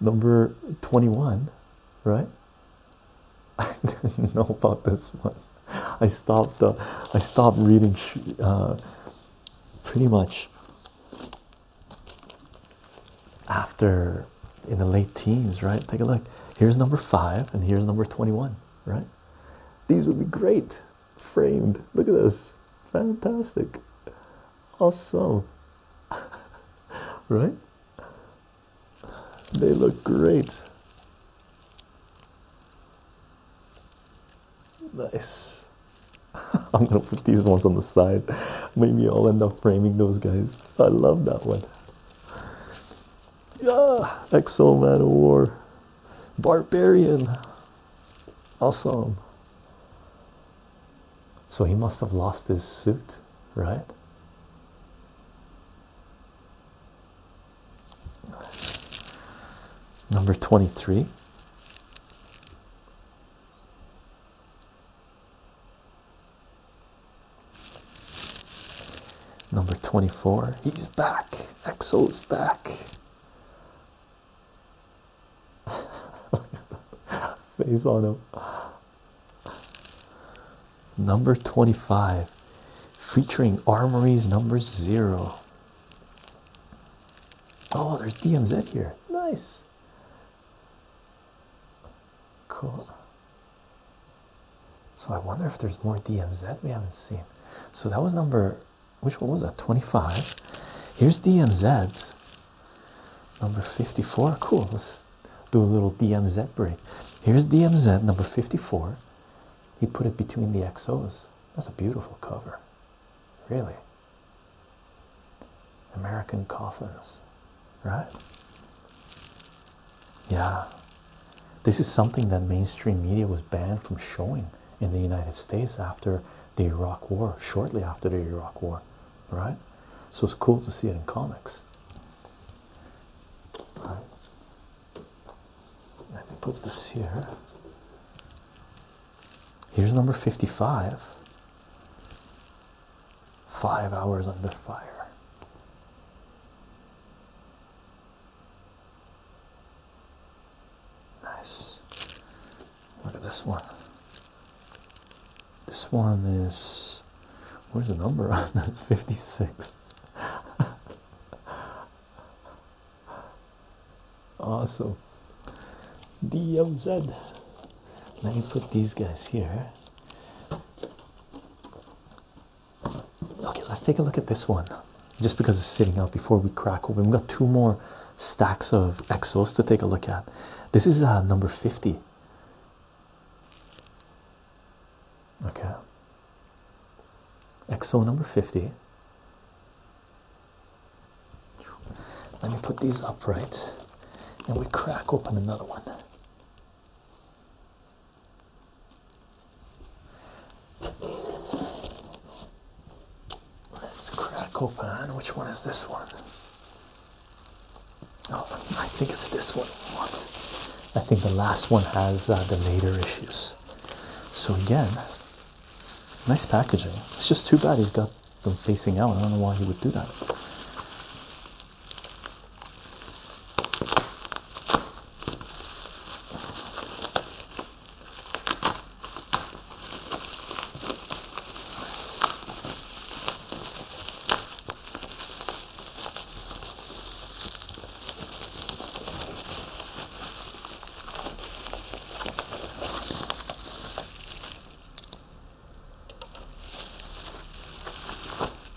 number 21, right? I didn't know about this one. I stopped uh, I stopped reading uh, pretty much after in the late teens, right? Take a look. Here's number five, and here's number 21, right? These would be great framed. Look at this, fantastic, awesome, *laughs* right? They look great. Nice. *laughs* I'm gonna put these ones on the side. Maybe I'll end up framing those guys. I love that one. Yeah, Exo Man of War. Barbarian. Awesome. So he must have lost his suit, right? Number 23. Number 24. He's back. is back. *laughs* Face on him. Number 25 featuring Armories number zero. Oh, there's DMZ here. Nice. Cool. So I wonder if there's more DMZ we haven't seen. So that was number which one was that? 25. Here's DMZ Number 54. Cool. Let's do a little DMZ break. Here's DMZ number 54. He put it between the XOs. That's a beautiful cover. Really. American coffins, right? Yeah. This is something that mainstream media was banned from showing in the United States after the Iraq War, shortly after the Iraq War right? So it's cool to see it in comics. Let me put this here. Here's number 55. Five hours under fire. Nice. Look at this one. This one is where's the number on this? *laughs* 56. awesome. DMZ. Let me put these guys here. Okay, let's take a look at this one just because it's sitting out before we crack open. We've got two more stacks of exos to take a look at. This is uh, number 50 okay exo number 50 let me put these upright and we crack open another one let's crack open which one is this one Oh, I think it's this one. I think the last one has uh, the later issues. So again, nice packaging. It's just too bad he's got them facing out. I don't know why he would do that.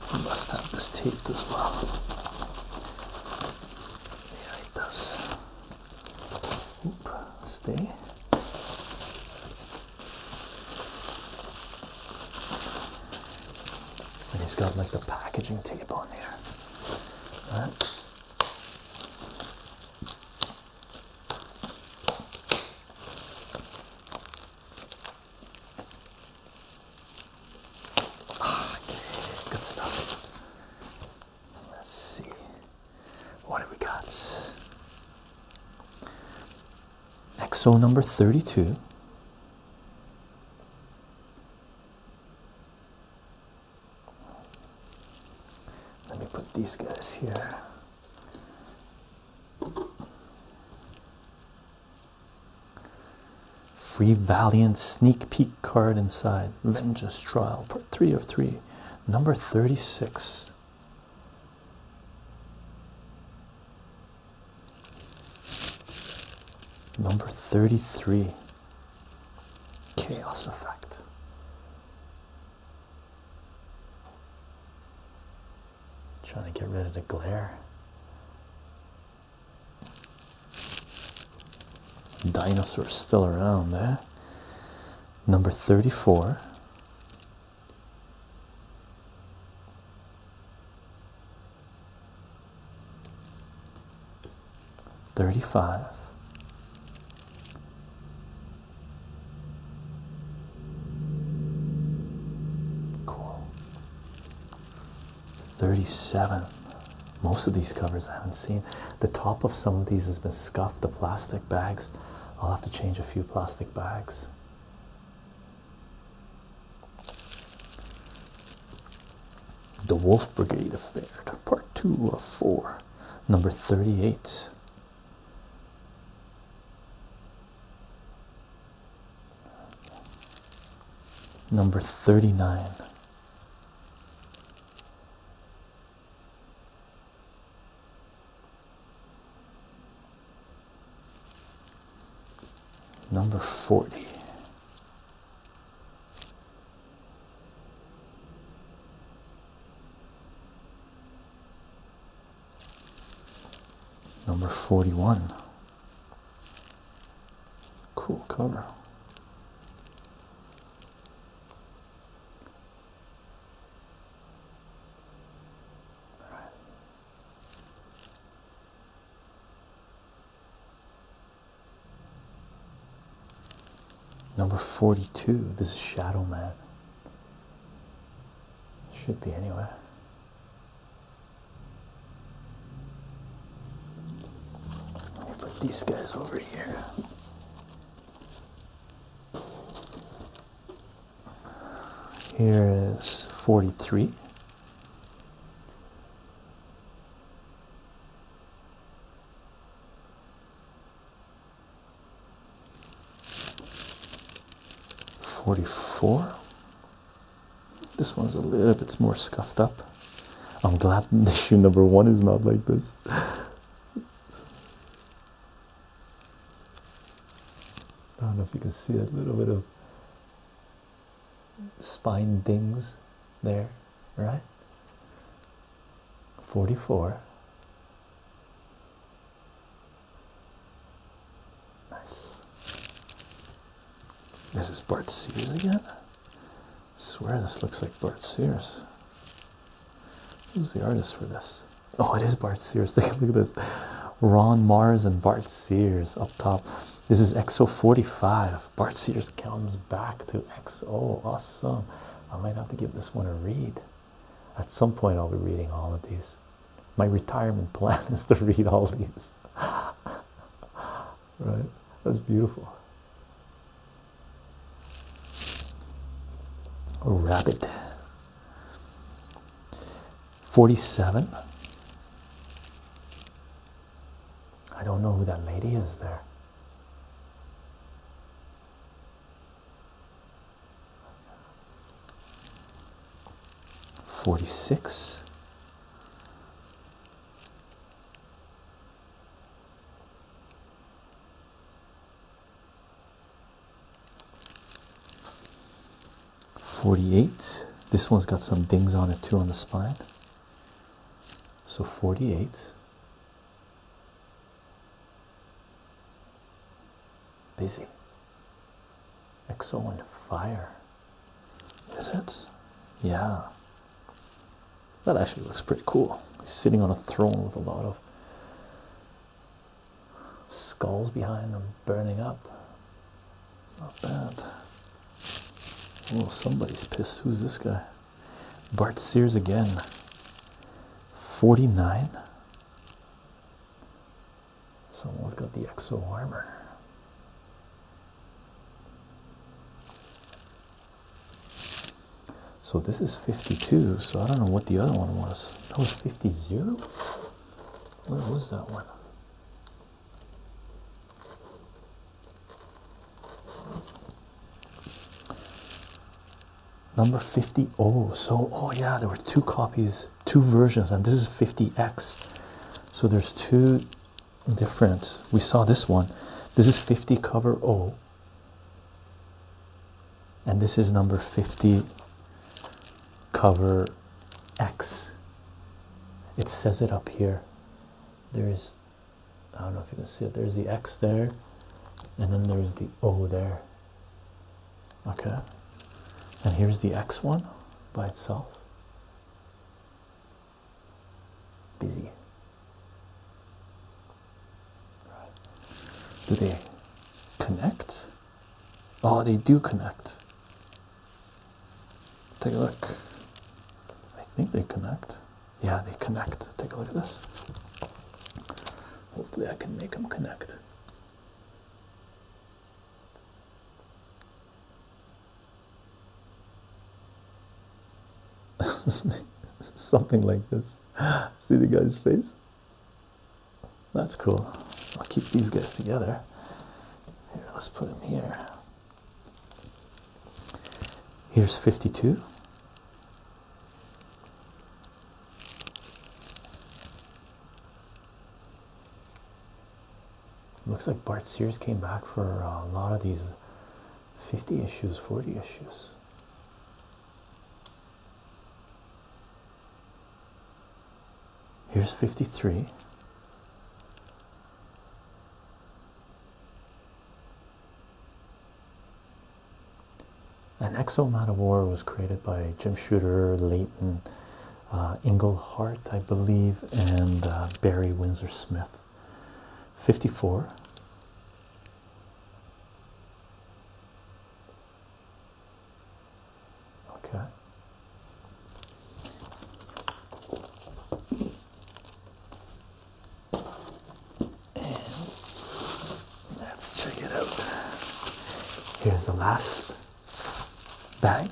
I must have this taped as well. Yeah, it does. Oop, stay. And he's got like the packaging tape on there, Right? Okay, good stuff. Let's see. What do we got? Exo number 32. Let me put these guys here. Free Valiant sneak peek card inside Vengeance Trial, part three of three, number 36. Number 33 Chaos Effect. Trying to get rid of the glare. Dinosaurs still around there. Eh? Number 34 Thirty five, cool. Thirty seven. Most of these covers I haven't seen. The top of some of these has been scuffed, the plastic bags. I'll have to change a few plastic bags. The Wolf Brigade of Baird, Part 2 of 4, number 38. Number 39. Number 40. Number 41. Cool cover. Number 42. This is Shadow Man. Should be anywhere. put these guys over here. Here is 43. Forty-four. This one's a little bit more scuffed up. I'm glad *laughs* issue number one is not like this. I don't know if you can see a little bit of spine dings there, right? 44. Nice. This is Bart Sears again. I swear this looks like Bart Sears. Who's the artist for this? Oh, it is Bart Sears. *laughs* look at this. Ron Mars and Bart Sears up top. This is XO 45. Bart Sears comes back to XO. Awesome. I might have to give this one a read. At some point, I'll be reading all of these. My retirement *laughs* plan is to read all these. *laughs* right? That's beautiful. Rabbit. 47. I don't know who that lady is there. Forty six, 48. This one's got some dings on it too on the spine. So 48. Busy. Exo and fire. Is it? Yeah. That actually looks pretty cool. sitting on a throne with a lot of skulls behind them burning up. Not bad. Oh, somebody's pissed. Who's this guy? Bart Sears again. 49? Someone's got the exo armor. So this is 52, so I don't know what the other one was. That was 50. Where was that one? Number 50. Oh, so oh, yeah, there were two copies, two versions, and this is 50x. So there's two different. We saw this one. This is 50 cover O, oh. and this is number 50 cover X. It says it up here. There's, I don't know if you can see it, there's the X there, and then there's the O there. Okay, and here's the X one by itself. Busy. Right. Do they connect? Oh, they do connect. Take a look. I think they connect. Yeah, they connect. Take a look at this. Hopefully, I can make them connect. *laughs* Something like this. See the guy's face? That's cool. I'll keep these guys together. Here, let's put them here. Here's 52. Looks like Bart Sears came back for a lot of these 50 issues, 40 issues. Here's 53. An Exo Man of War was created by Jim Shooter, Leighton, Ingelhart, uh, I believe, and uh, Barry Windsor Smith. 54. Okay. let's check it out. Here's the last bag.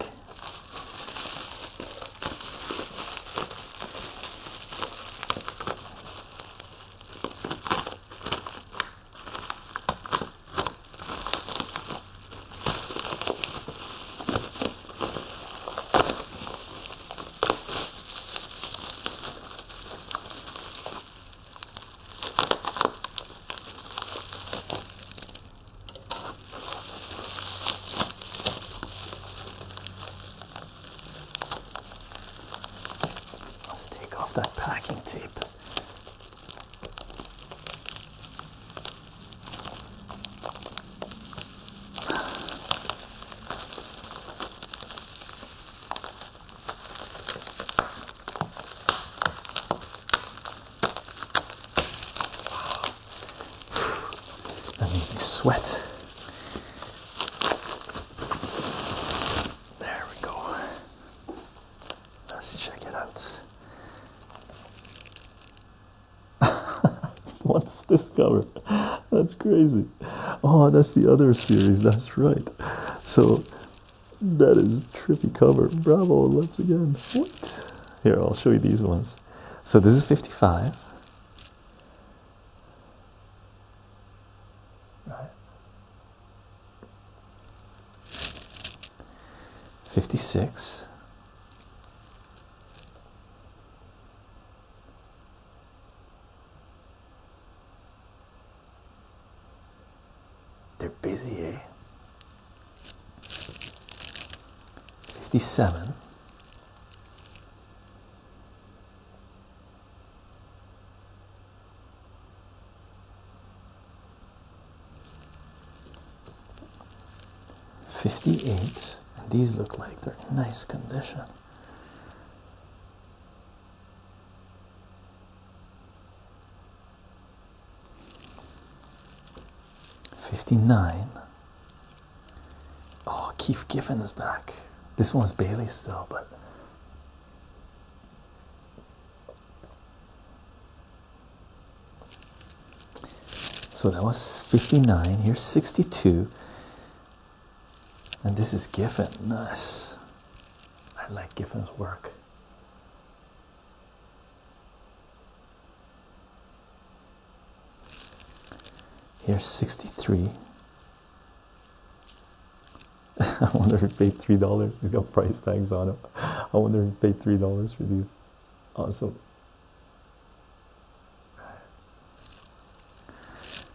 Let's take off that packing tape that made me sweat. There we go. Let's check it out. *laughs* What's this cover? That's crazy. Oh, that's the other series. That's right. So that is trippy cover. Bravo, lives again. What? Here, I'll show you these ones. So this is 55. Right. 56 they're busy eh 57 57 58 and these look like they're nice condition Fifty-nine. Oh, Keith Giffen is back. This one's Bailey still, but so that was 59. Here's 62. And this is Giffen. Nice. I like Giffen's work. Here's 63. *laughs* I wonder if he paid $3. He's got price tags on him. *laughs* I wonder if he paid $3 for these also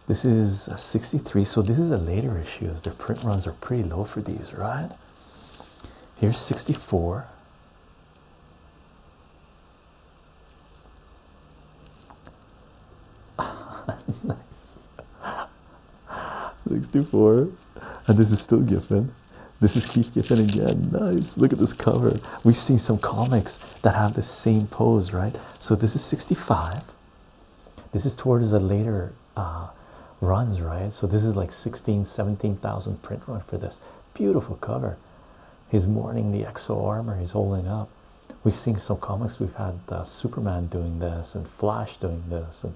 this is a 63 so this is a later issues their print runs are pretty low for these right here's 64 *laughs* nice *laughs* 64 and this is still Giffen this is Keith Giffen again. Nice. Look at this cover. We've seen some comics that have the same pose, right? So this is 65. This is towards a later uh, runs, right? So this is like 16, 17,000 print run for this. Beautiful cover. He's mourning the exo armor he's holding up. We've seen some comics. We've had uh, Superman doing this and Flash doing this and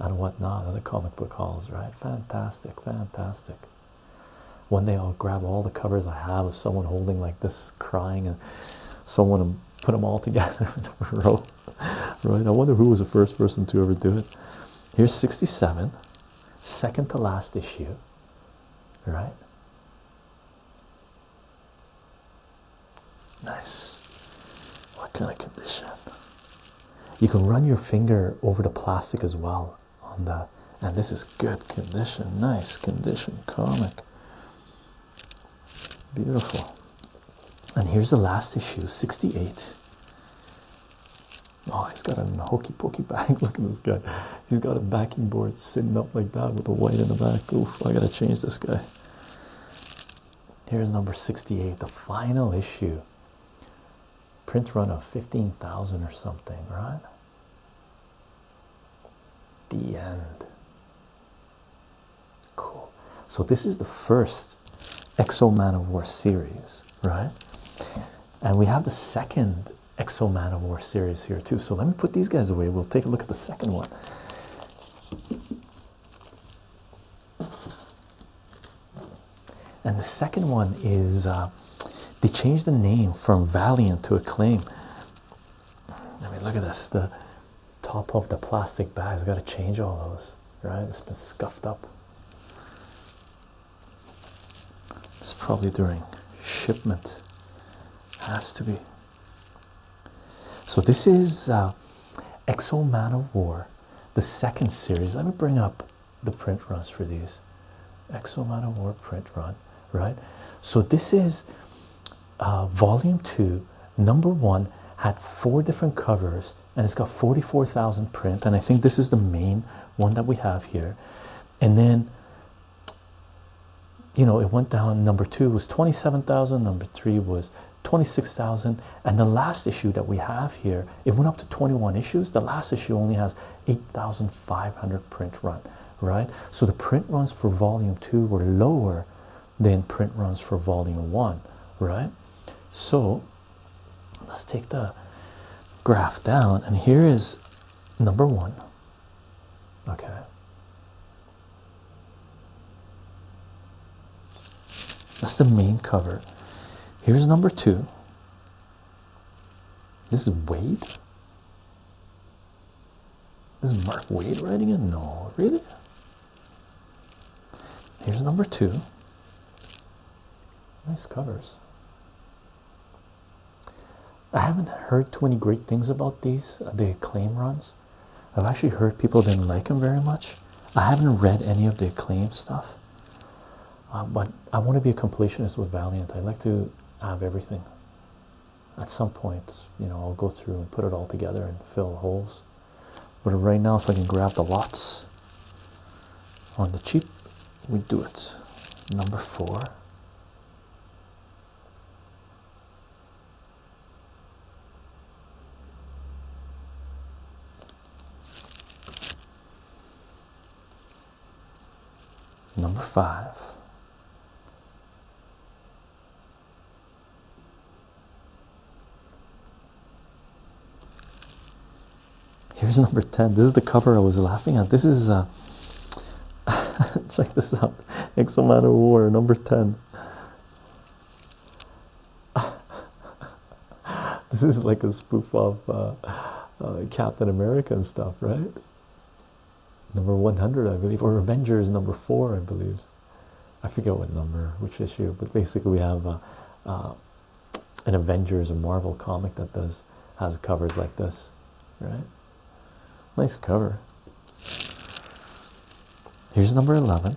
and whatnot. Other comic book halls, right? Fantastic, fantastic. One day I'll grab all the covers I have of someone holding like this, crying, and someone and put them all *laughs* together Right? I wonder who was the first person to ever do it. Here's 67, second to last issue. Right? Nice. What kind of condition? You can run your finger over the plastic as well on that and this is good condition nice condition comic beautiful and here's the last issue 68 oh he's got a hokey pokey bag *laughs* look at this guy he's got a backing board sitting up like that with a white in the back oof i gotta change this guy here's number 68 the final issue print run of 15,000 or something, right? The end. Cool. So, this is the first Exo Man of War series, right? And we have the second Exo Man of War series here, too. So, let me put these guys away. We'll take a look at the second one. And the second one is uh, they changed the name from Valiant to Acclaim. I mean, look at this the top of the plastic bag has gotta change all those, right? It's been scuffed up. It's probably during shipment, has to be. So, this is uh, Exo Man of War, the second series. Let me bring up the print runs for these X War print run, right? So this is uh, volume two, number one had four different covers and it's got 44,000 print. And I think this is the main one that we have here. And then, you know, it went down. Number two was 27,000, number three was 26,000. And the last issue that we have here, it went up to 21 issues. The last issue only has 8500 print run right so the print runs for volume 2 were lower than print runs for volume 1 right so let's take the graph down and here is number 1 okay that's the main cover here's number 2 this is Wade. This Is Mark Wade writing it? No, really. Here's number two. Nice covers. I haven't heard too many great things about these. Uh, the acclaim runs. I've actually heard people didn't like them very much. I haven't read any of the acclaim stuff. Uh, but I want to be a completionist with Valiant. I like to have everything. At some point, you know, I'll go through and put it all together and fill holes. But right now, if I can grab the lots on the cheap, we do it. Number four. Number five. Here's number 10. This is the cover I was laughing at. This is, uh, *laughs* check this out Exoman War, number 10 this is like a spoof of uh, uh, Captain America and stuff, right? Number 100, I believe, or Avengers number four, I believe. I forget what number, which issue, but basically, we have uh, an Avengers and Marvel comic that does has covers like this, right? Nice cover. Here's number 11.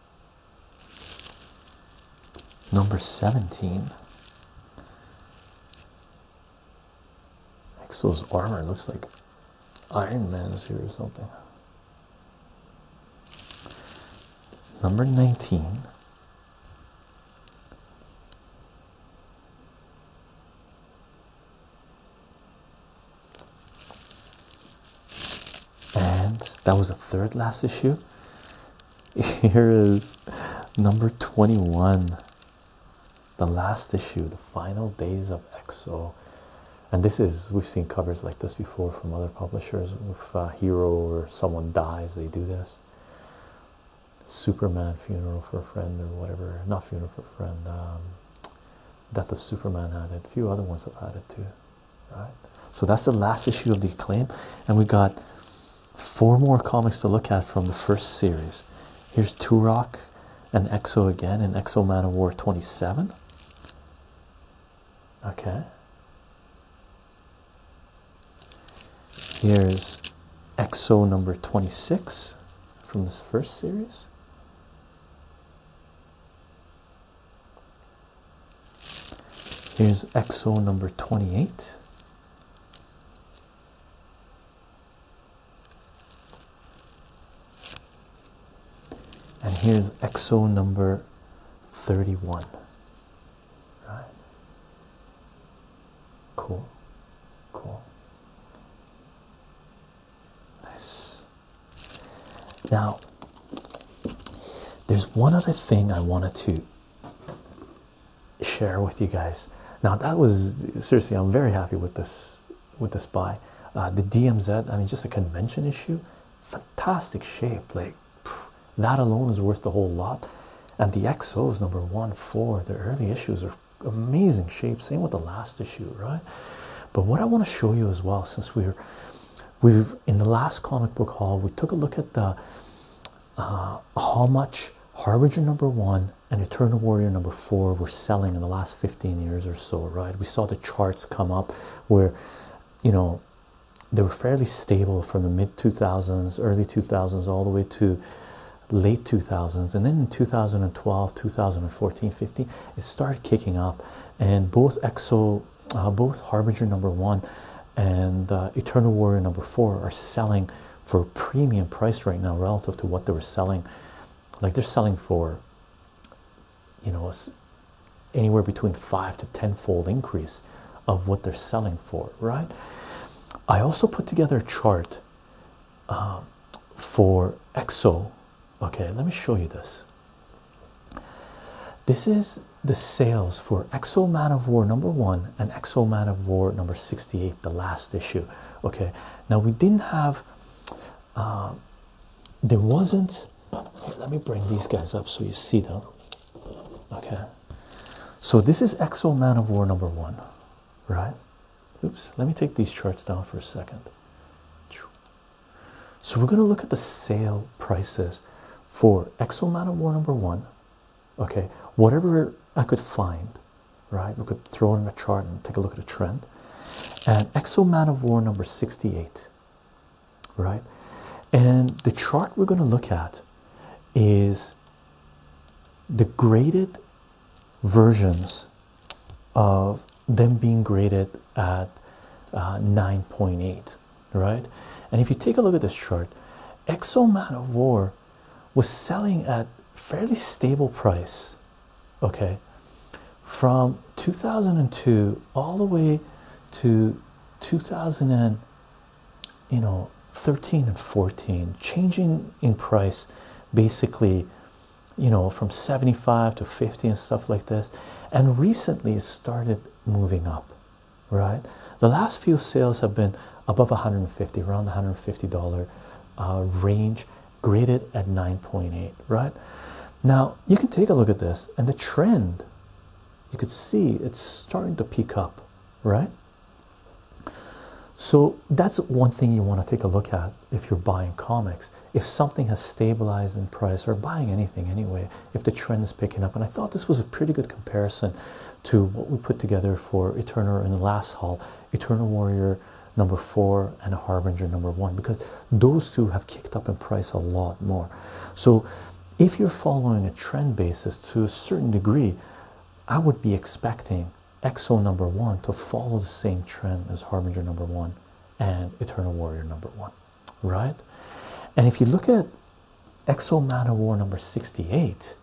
Number 17. Exo's armor looks like Iron Man's here or something. Number 19 and that was the third last issue. Here is number 21, the last issue, the final days of EXO. And this is, we've seen covers like this before from other publishers. If a hero or someone dies, they do this. Superman funeral for a friend or whatever. Not funeral for a friend. Um, Death of Superman added. A few other ones have added too. So that's the last issue of the claim, and we got four more comics to look at from the first series. Here's Turok and Exo again in Exo Man of War 27. Okay. Here's Exo number 26 from this first series. Here's EXO number 28. And here's EXO number 31. Right. Cool. Cool. Nice. Now, there's one other thing I wanted to share with you guys. Now that was seriously, I'm very happy with this with this buy. Uh, the DMZ, I mean, just a convention issue, fantastic shape. Like that alone is worth the whole lot. And the XOs number one, four, the early issues are amazing shape. Same with the last issue, right? But what I want to show you as well, since we're We've in the last comic book hall. we took a look at the uh, how much Harbinger number one and Eternal Warrior number four were selling in the last 15 years or so, right? We saw the charts come up where you know they were fairly stable from the mid 2000s, early 2000s, all the way to late 2000s and then in 2012 2014 15 it started kicking up and both exo uh, both Harbinger number one and uh, Eternal Warrior number four are selling for premium price right now relative to what they were selling. Like they're selling for, you know, anywhere between five to tenfold increase of what they're selling for, right? I also put together a chart uh, for EXO. Okay, let me show you this. This is the sales for Exo Man of War number one and Exo Man of War number 68, the last issue. Okay, now we didn't have, uh, there wasn't, let me bring these guys up so you see them. Okay, so this is Exo Man of War number one, right? Oops, let me take these charts down for a second. So we're going to look at the sale prices for Exo Man of War number one. Okay, whatever I could find, right? We could throw in a chart and take a look at a trend. And Exo Man of War number 68, right? And the chart we're going to look at is the graded versions of them being graded at uh, 9.8 right? And if you take a look at this chart, Exo Man of War was selling at fairly stable price, okay, from 2002 all the way to 2000 and you know 13 and 14, changing in price basically, you know, from 75 to 50 and stuff like this, and recently started moving up right? The last few sales have been above 150, around 150 dollar uh, range, graded at 9.8, right? Now you can take a look at this, and the trend you could see it's starting to peak up, right? So that's one thing you want to take a look at if you're buying comics. If something has stabilized in price or buying anything anyway, if the trend is picking up. And I thought this was a pretty good comparison to what we put together for Eternal and Last Haul, Eternal Warrior number four and Harbinger number one, because those two have kicked up in price a lot more. So if you're following a trend basis to a certain degree, I would be expecting Exo number one to follow the same trend as Harbinger number one and Eternal Warrior number one right? And if you look at Exo Man of War number 68,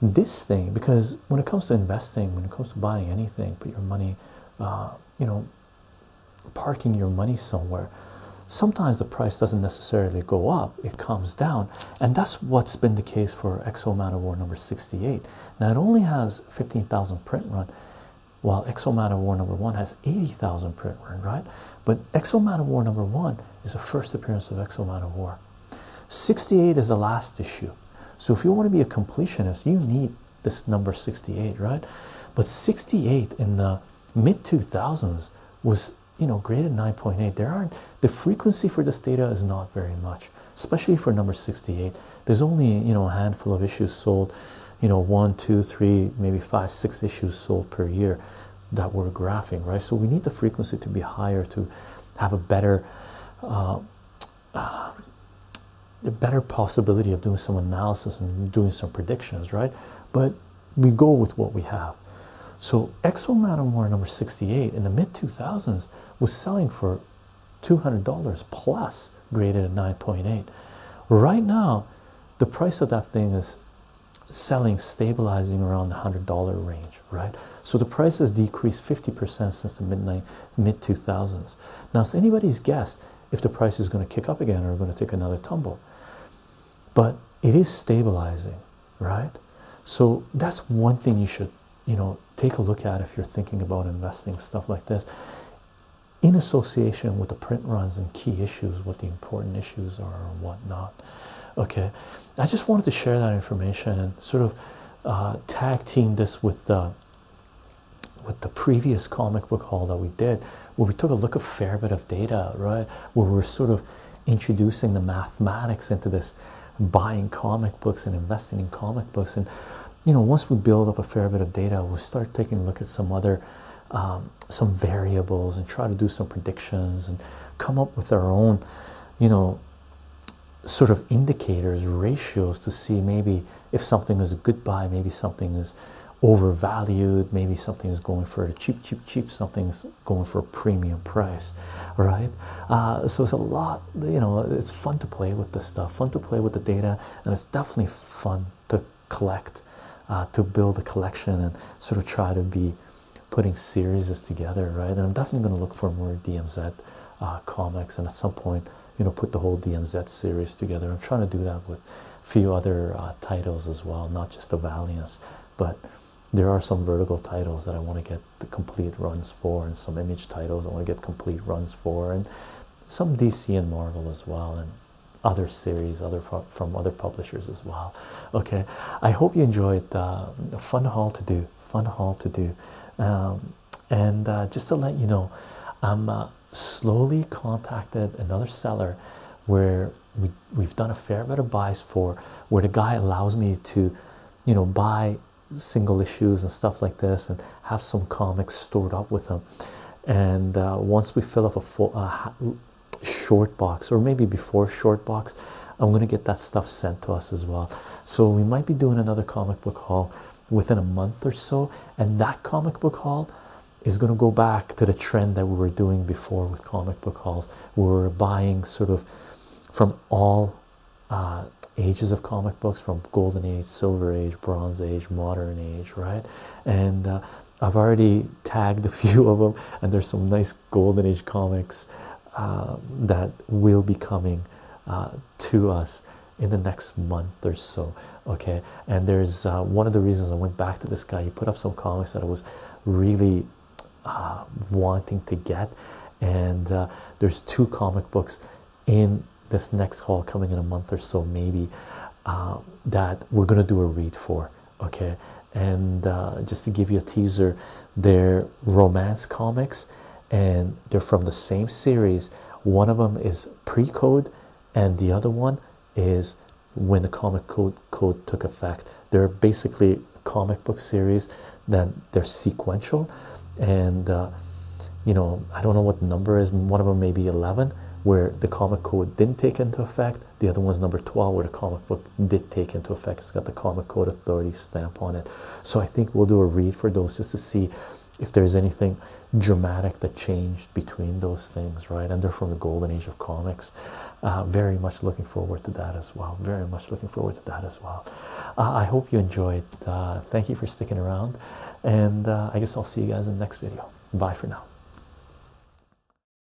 this thing, because when it comes to investing, when it comes to buying anything, put your money, uh, you know, parking your money somewhere, sometimes the price doesn't necessarily go up, it comes down. And that's what's been the case for Exo Man of War number 68. Now it only has 15,000 print run, while Exo Man of War number 1 has 80,000 print run, right? But Exo Man of War number one is the first appearance of Exo Man of War. 68 is the last issue. So if you want to be a completionist, you need this number 68, right? But 68 in the mid 2000s was you know graded 9.8 there aren't the frequency for this data is not very much especially for number 68 there's only you know a handful of issues sold you know one two three maybe five six issues sold per year that we're graphing, right? So we need the frequency to be higher to have a better, uh, uh, a better possibility of doing some analysis and doing some predictions, right? But we go with what we have. So Exo Matamore number 68 in the mid 2000s was selling for $200 plus graded at 9.8. Right now, the price of that thing is selling stabilizing around the hundred dollar range right so the price has decreased 50% since the midnight mid 2000s now it's anybody's guess if the price is going to kick up again or going to take another tumble but it is stabilizing right so that's one thing you should you know take a look at if you're thinking about investing stuff like this in association with the print runs and key issues what the important issues are and whatnot Okay, I just wanted to share that information and sort of uh, tag team this with the with the previous comic book haul that we did, where we took a look at a fair bit of data, right? Where we're sort of introducing the mathematics into this buying comic books and investing in comic books and you know once we build up a fair bit of data we'll start taking a look at some other um, um, some variables and try to do some predictions and come up with our own, you know, sort of indicators, ratios to see maybe if something is a good buy, maybe something is overvalued, maybe something is going for cheap, cheap, cheap, something's going for a premium price, right? Uh, so it's a lot, you know, it's fun to play with the stuff, fun to play with the data, and it's definitely fun to collect, uh, to build a collection, and sort of try to be putting series together, right? And I'm definitely going to look for more DMZ uh, comics, and at some point, you know, put the whole DMZ series together. I'm trying to do that with a few other uh, titles as well, not just the Valiants, but there are some vertical titles that I want to get the complete runs for, and some image titles I want to get complete runs for, and some DC and Marvel as well. And other series other from other publishers as well okay i hope you enjoyed the fun haul to do fun haul to do um, and uh, just to let you know i'm uh, slowly contacted another seller where we, we've done a fair bit of buys for where the guy allows me to you know buy single issues and stuff like this and have some comics stored up with them and uh, once we fill up a full short box or maybe before short box i'm going to get that stuff sent to us as well so we might be doing another comic book haul within a month or so and that comic book haul is going to go back to the trend that we were doing before with comic book hauls we are buying sort of from all uh, ages of comic books from golden age silver age bronze age modern age right and uh, I've already tagged a few of them, and there's some nice Golden Age comics um, that will be coming uh, to us in the next month or so. Okay, and there's uh, one of the reasons I went back to this guy. He put up some comics that I was really uh, wanting to get, and there's two comic books in this next haul coming in a month or so, maybe that we're gonna do a read for. Okay, and uh, just to give you a teaser, they're romance comics, and they're from the same series. One of them is pre-code, and the other one is when the comic code code took effect. They're basically comic book series that they're sequential, and uh, you know I don't know what number is. One of them may be eleven, where the comic code didn't take into effect, the other one's number 12, where the comic book did take into effect. It's got the Comic Code Authority stamp on it. So I think we'll do a read for those just to see if there's anything dramatic that changed between those things, right? And they're from the golden age of comics. Uh, very much looking forward to that as well. Very much looking forward to that as well. Uh, I hope you enjoyed. Uh, thank you for sticking around. And I guess I'll see you guys in the next video. Bye for now.